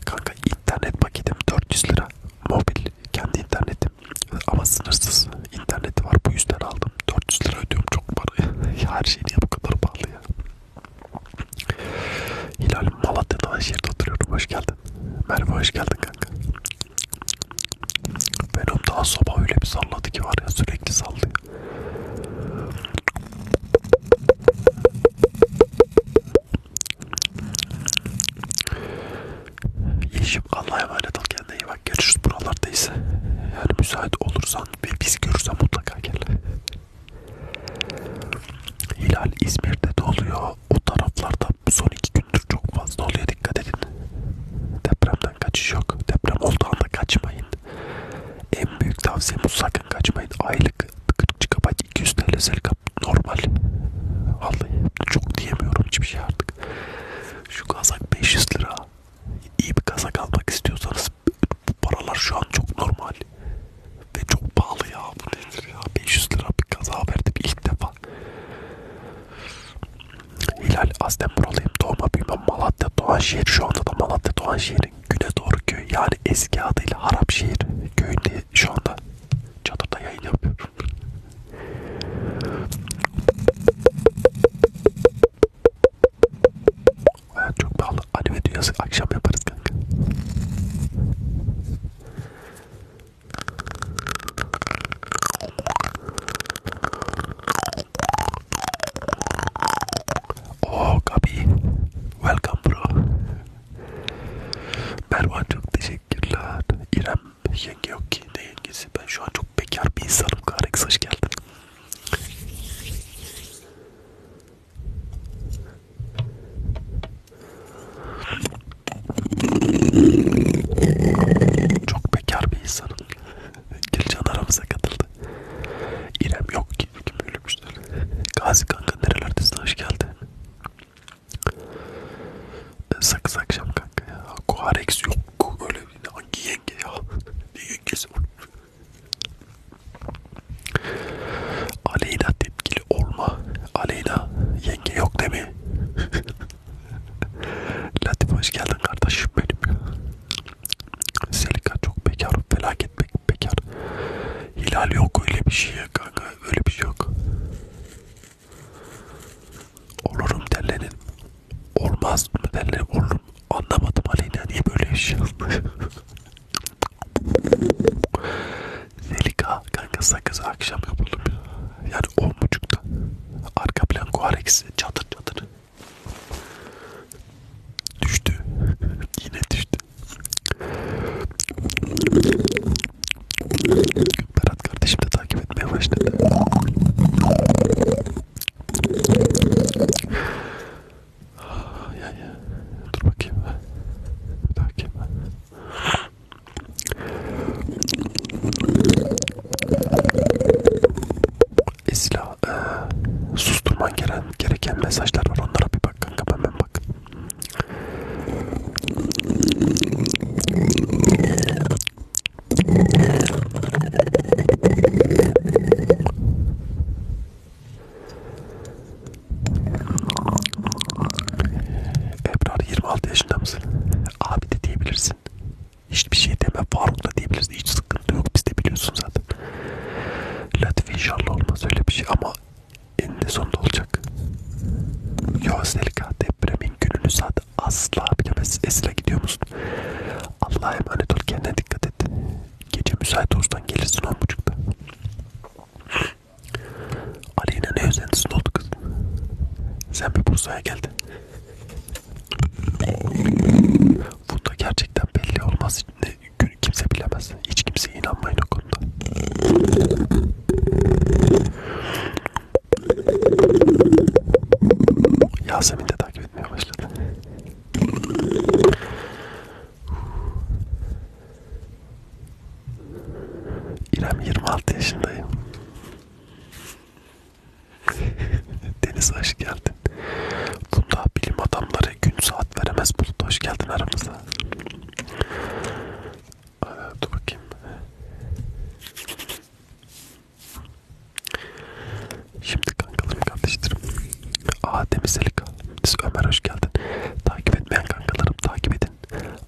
Kanka internet paketim 400 lira. Mobil. Kendi internetim. Ama sınırsız interneti var. Bu yüzden aldım. 400 lira ödüyorum çok para (laughs) ya. Her şey niye bu kadar pahalı ya? Hilal Malatya'da Aşehir'de oturuyorum. Hoş geldin. Merve hoş geldin kanka. Benim daha sabah öyle bir salladı ki var ya sürekli sallıyor. Yeşim Allah'a emanet ol kendine iyi bak görüşürüz buralardayız. Yani müsait olursan ve biz görürsen mutlaka gel. Hilal İzmir'de de oluyor. O taraflarda son iki gündür çok fazla oluyor. Dikkat edin. Depremden kaçış yok. Deprem olduğu anda kaçmayın. En büyük tavsiyemiz sakın kaçmayın. Aylık 40 GB 200 TL selkap normal. Vallahi çok diyemiyorum hiçbir şey artık. Şu kazak 500 lira. İyi bir kazak almak istiyorsanız bu paralar şu an çok normal ve çok pahalı ya bu nedir ya 500 lira bir kaza verdim ilk defa Hilal aslen buralıyım doğma büyümem Malatya Doğanşehir şu anda da Malatya Doğanşehir'in güne doğru köy yani eski adıyla Harapşehir köyünde şu anda çadırda yayın yapıyorum Hayat çok pahalı. Anime dünyası akşam yaparız kanka. Oh Gabi. Welcome bro. Mervan çok teşekkürler. İrem yenge yok ki. Ne yengesi? Ben şu an çok bekar bir insanım. Karex hoş geldin. Çok bekar bir insanım. Gülcan aramıza katıldı. İrem yok ki. Kim ölmüştür. Gazi kanka nerelerdesin? Hoş geldin. E, sakız akşam kanka ya. Koharex yok. Öyle bir hangi yenge ya. Ne yengesi oğlum. Aleyla tepkili olma. Aleyla yenge yok değil mi? (laughs) Latif hoş geldin kardeşim benim ya. Selika çok bekar, felaket pek bekar. Hilal yok öyle bir şey ya kanka, öyle bir şey yok. Olurum derlenin. Olmaz mı derlenin, olurum Anlamadım Aleyna niye böyle yaşıyormuş. Zelika kanka sakızı akşam yapalım Yani on buçukta. Arka plan kuareksi çatır çatır. Düştü. (laughs) Yine düştü. Berat kardeşim de takip etmeye başladı. Yani dur bakayım. Bir dakika. Esla e, susturman gereken, gereken mesajlar var. Onlara bir bak kanka ben, ben bak. Ebrar 26 yaşında mısın? Abi de diyebilirsin. Hiçbir şey deme. Faruk da diyebilirsin. Hiç sıkıntı yok. Biz de biliyorsun zaten. Latif inşallah olmaz öyle bir şey ama eninde sonunda olacak. Yo Selika depremin gününü zaten asla bilemez. Esra gidiyor musun? Allah'a emanet ol kendine dikkat et. Gece müsait olsan gelirsin 10.30'da. Aleyna ne özentisinde oldu kız? Sen bir Bursa'ya geldin. Bunda gerçekten belli olmaz. Kimse bilemez. Hiç kimseye inanmayın o konuda. Yasemin de takip etmeye başladı. İrem 26 yaşındayım. (laughs) Deniz hoş geldin. Bunda bilim adamları gün saat veremez Bulut hoş geldin aramıza. Aa, ee, dur bakayım. Şimdi kankalarım kardeşlerim. Aa Deniz Elika. Ömer hoş geldin. Takip etmeyen kankalarım takip edin.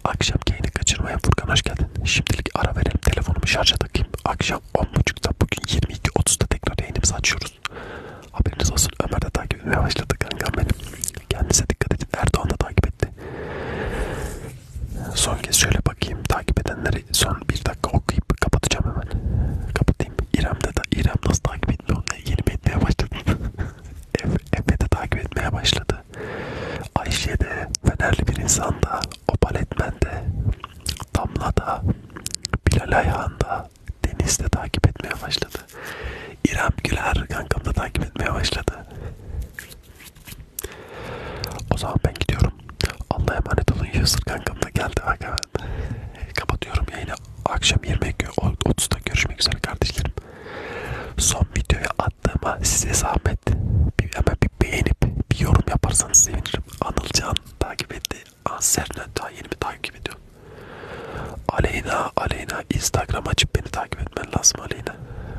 Akşam yayını kaçırmayan Furkan hoş geldin. Şimdilik ara verelim telefonumu şarja takayım. Akşam 10.30'da bugün 22.30'da tekrar yayınımızı açıyoruz. Haberiniz olsun Ömer de takip etmeye başladı kankam benim. Kendinize dikkat edin. Erdoğan da takip etti. Son kez şöyle bakayım. Takip edenleri son bir dakika okuyup kapatacağım hemen. Kapatayım. İrem'de de İrem nasıl takip takibinde onunla ilgili etmeye başladım. (laughs) Efe de takip etmeye başladı. Ayşe de, Fenerli bir insan da, Opal Etmen de, Damla da, Bilal Ayhan da, Deniz de takip etmeye başladı. İrem Güler kankam da takip etmeye başladı. O zaman ben gidiyorum. Allah'a emanet olun. Yusuf kankam da geldi bak hemen. Kapatıyorum yayını. Yani akşam 20.30'da görüşmek üzere kardeşlerim. Son videoya attığıma size zahmet. Bir, hemen bir beğenip bir yorum yaparsanız sevinirim. Anılcan takip etti. Anserna daha yeni mi takip ediyor? Aleyna, Aleyna Instagram açıp beni takip etmen lazım Aleyna.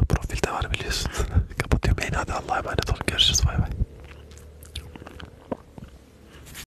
Profilde var biliyorsun. (laughs) Kapatıyorum. Aleyna hadi Allah'a emanet olun. Görüşürüz. Bay bay.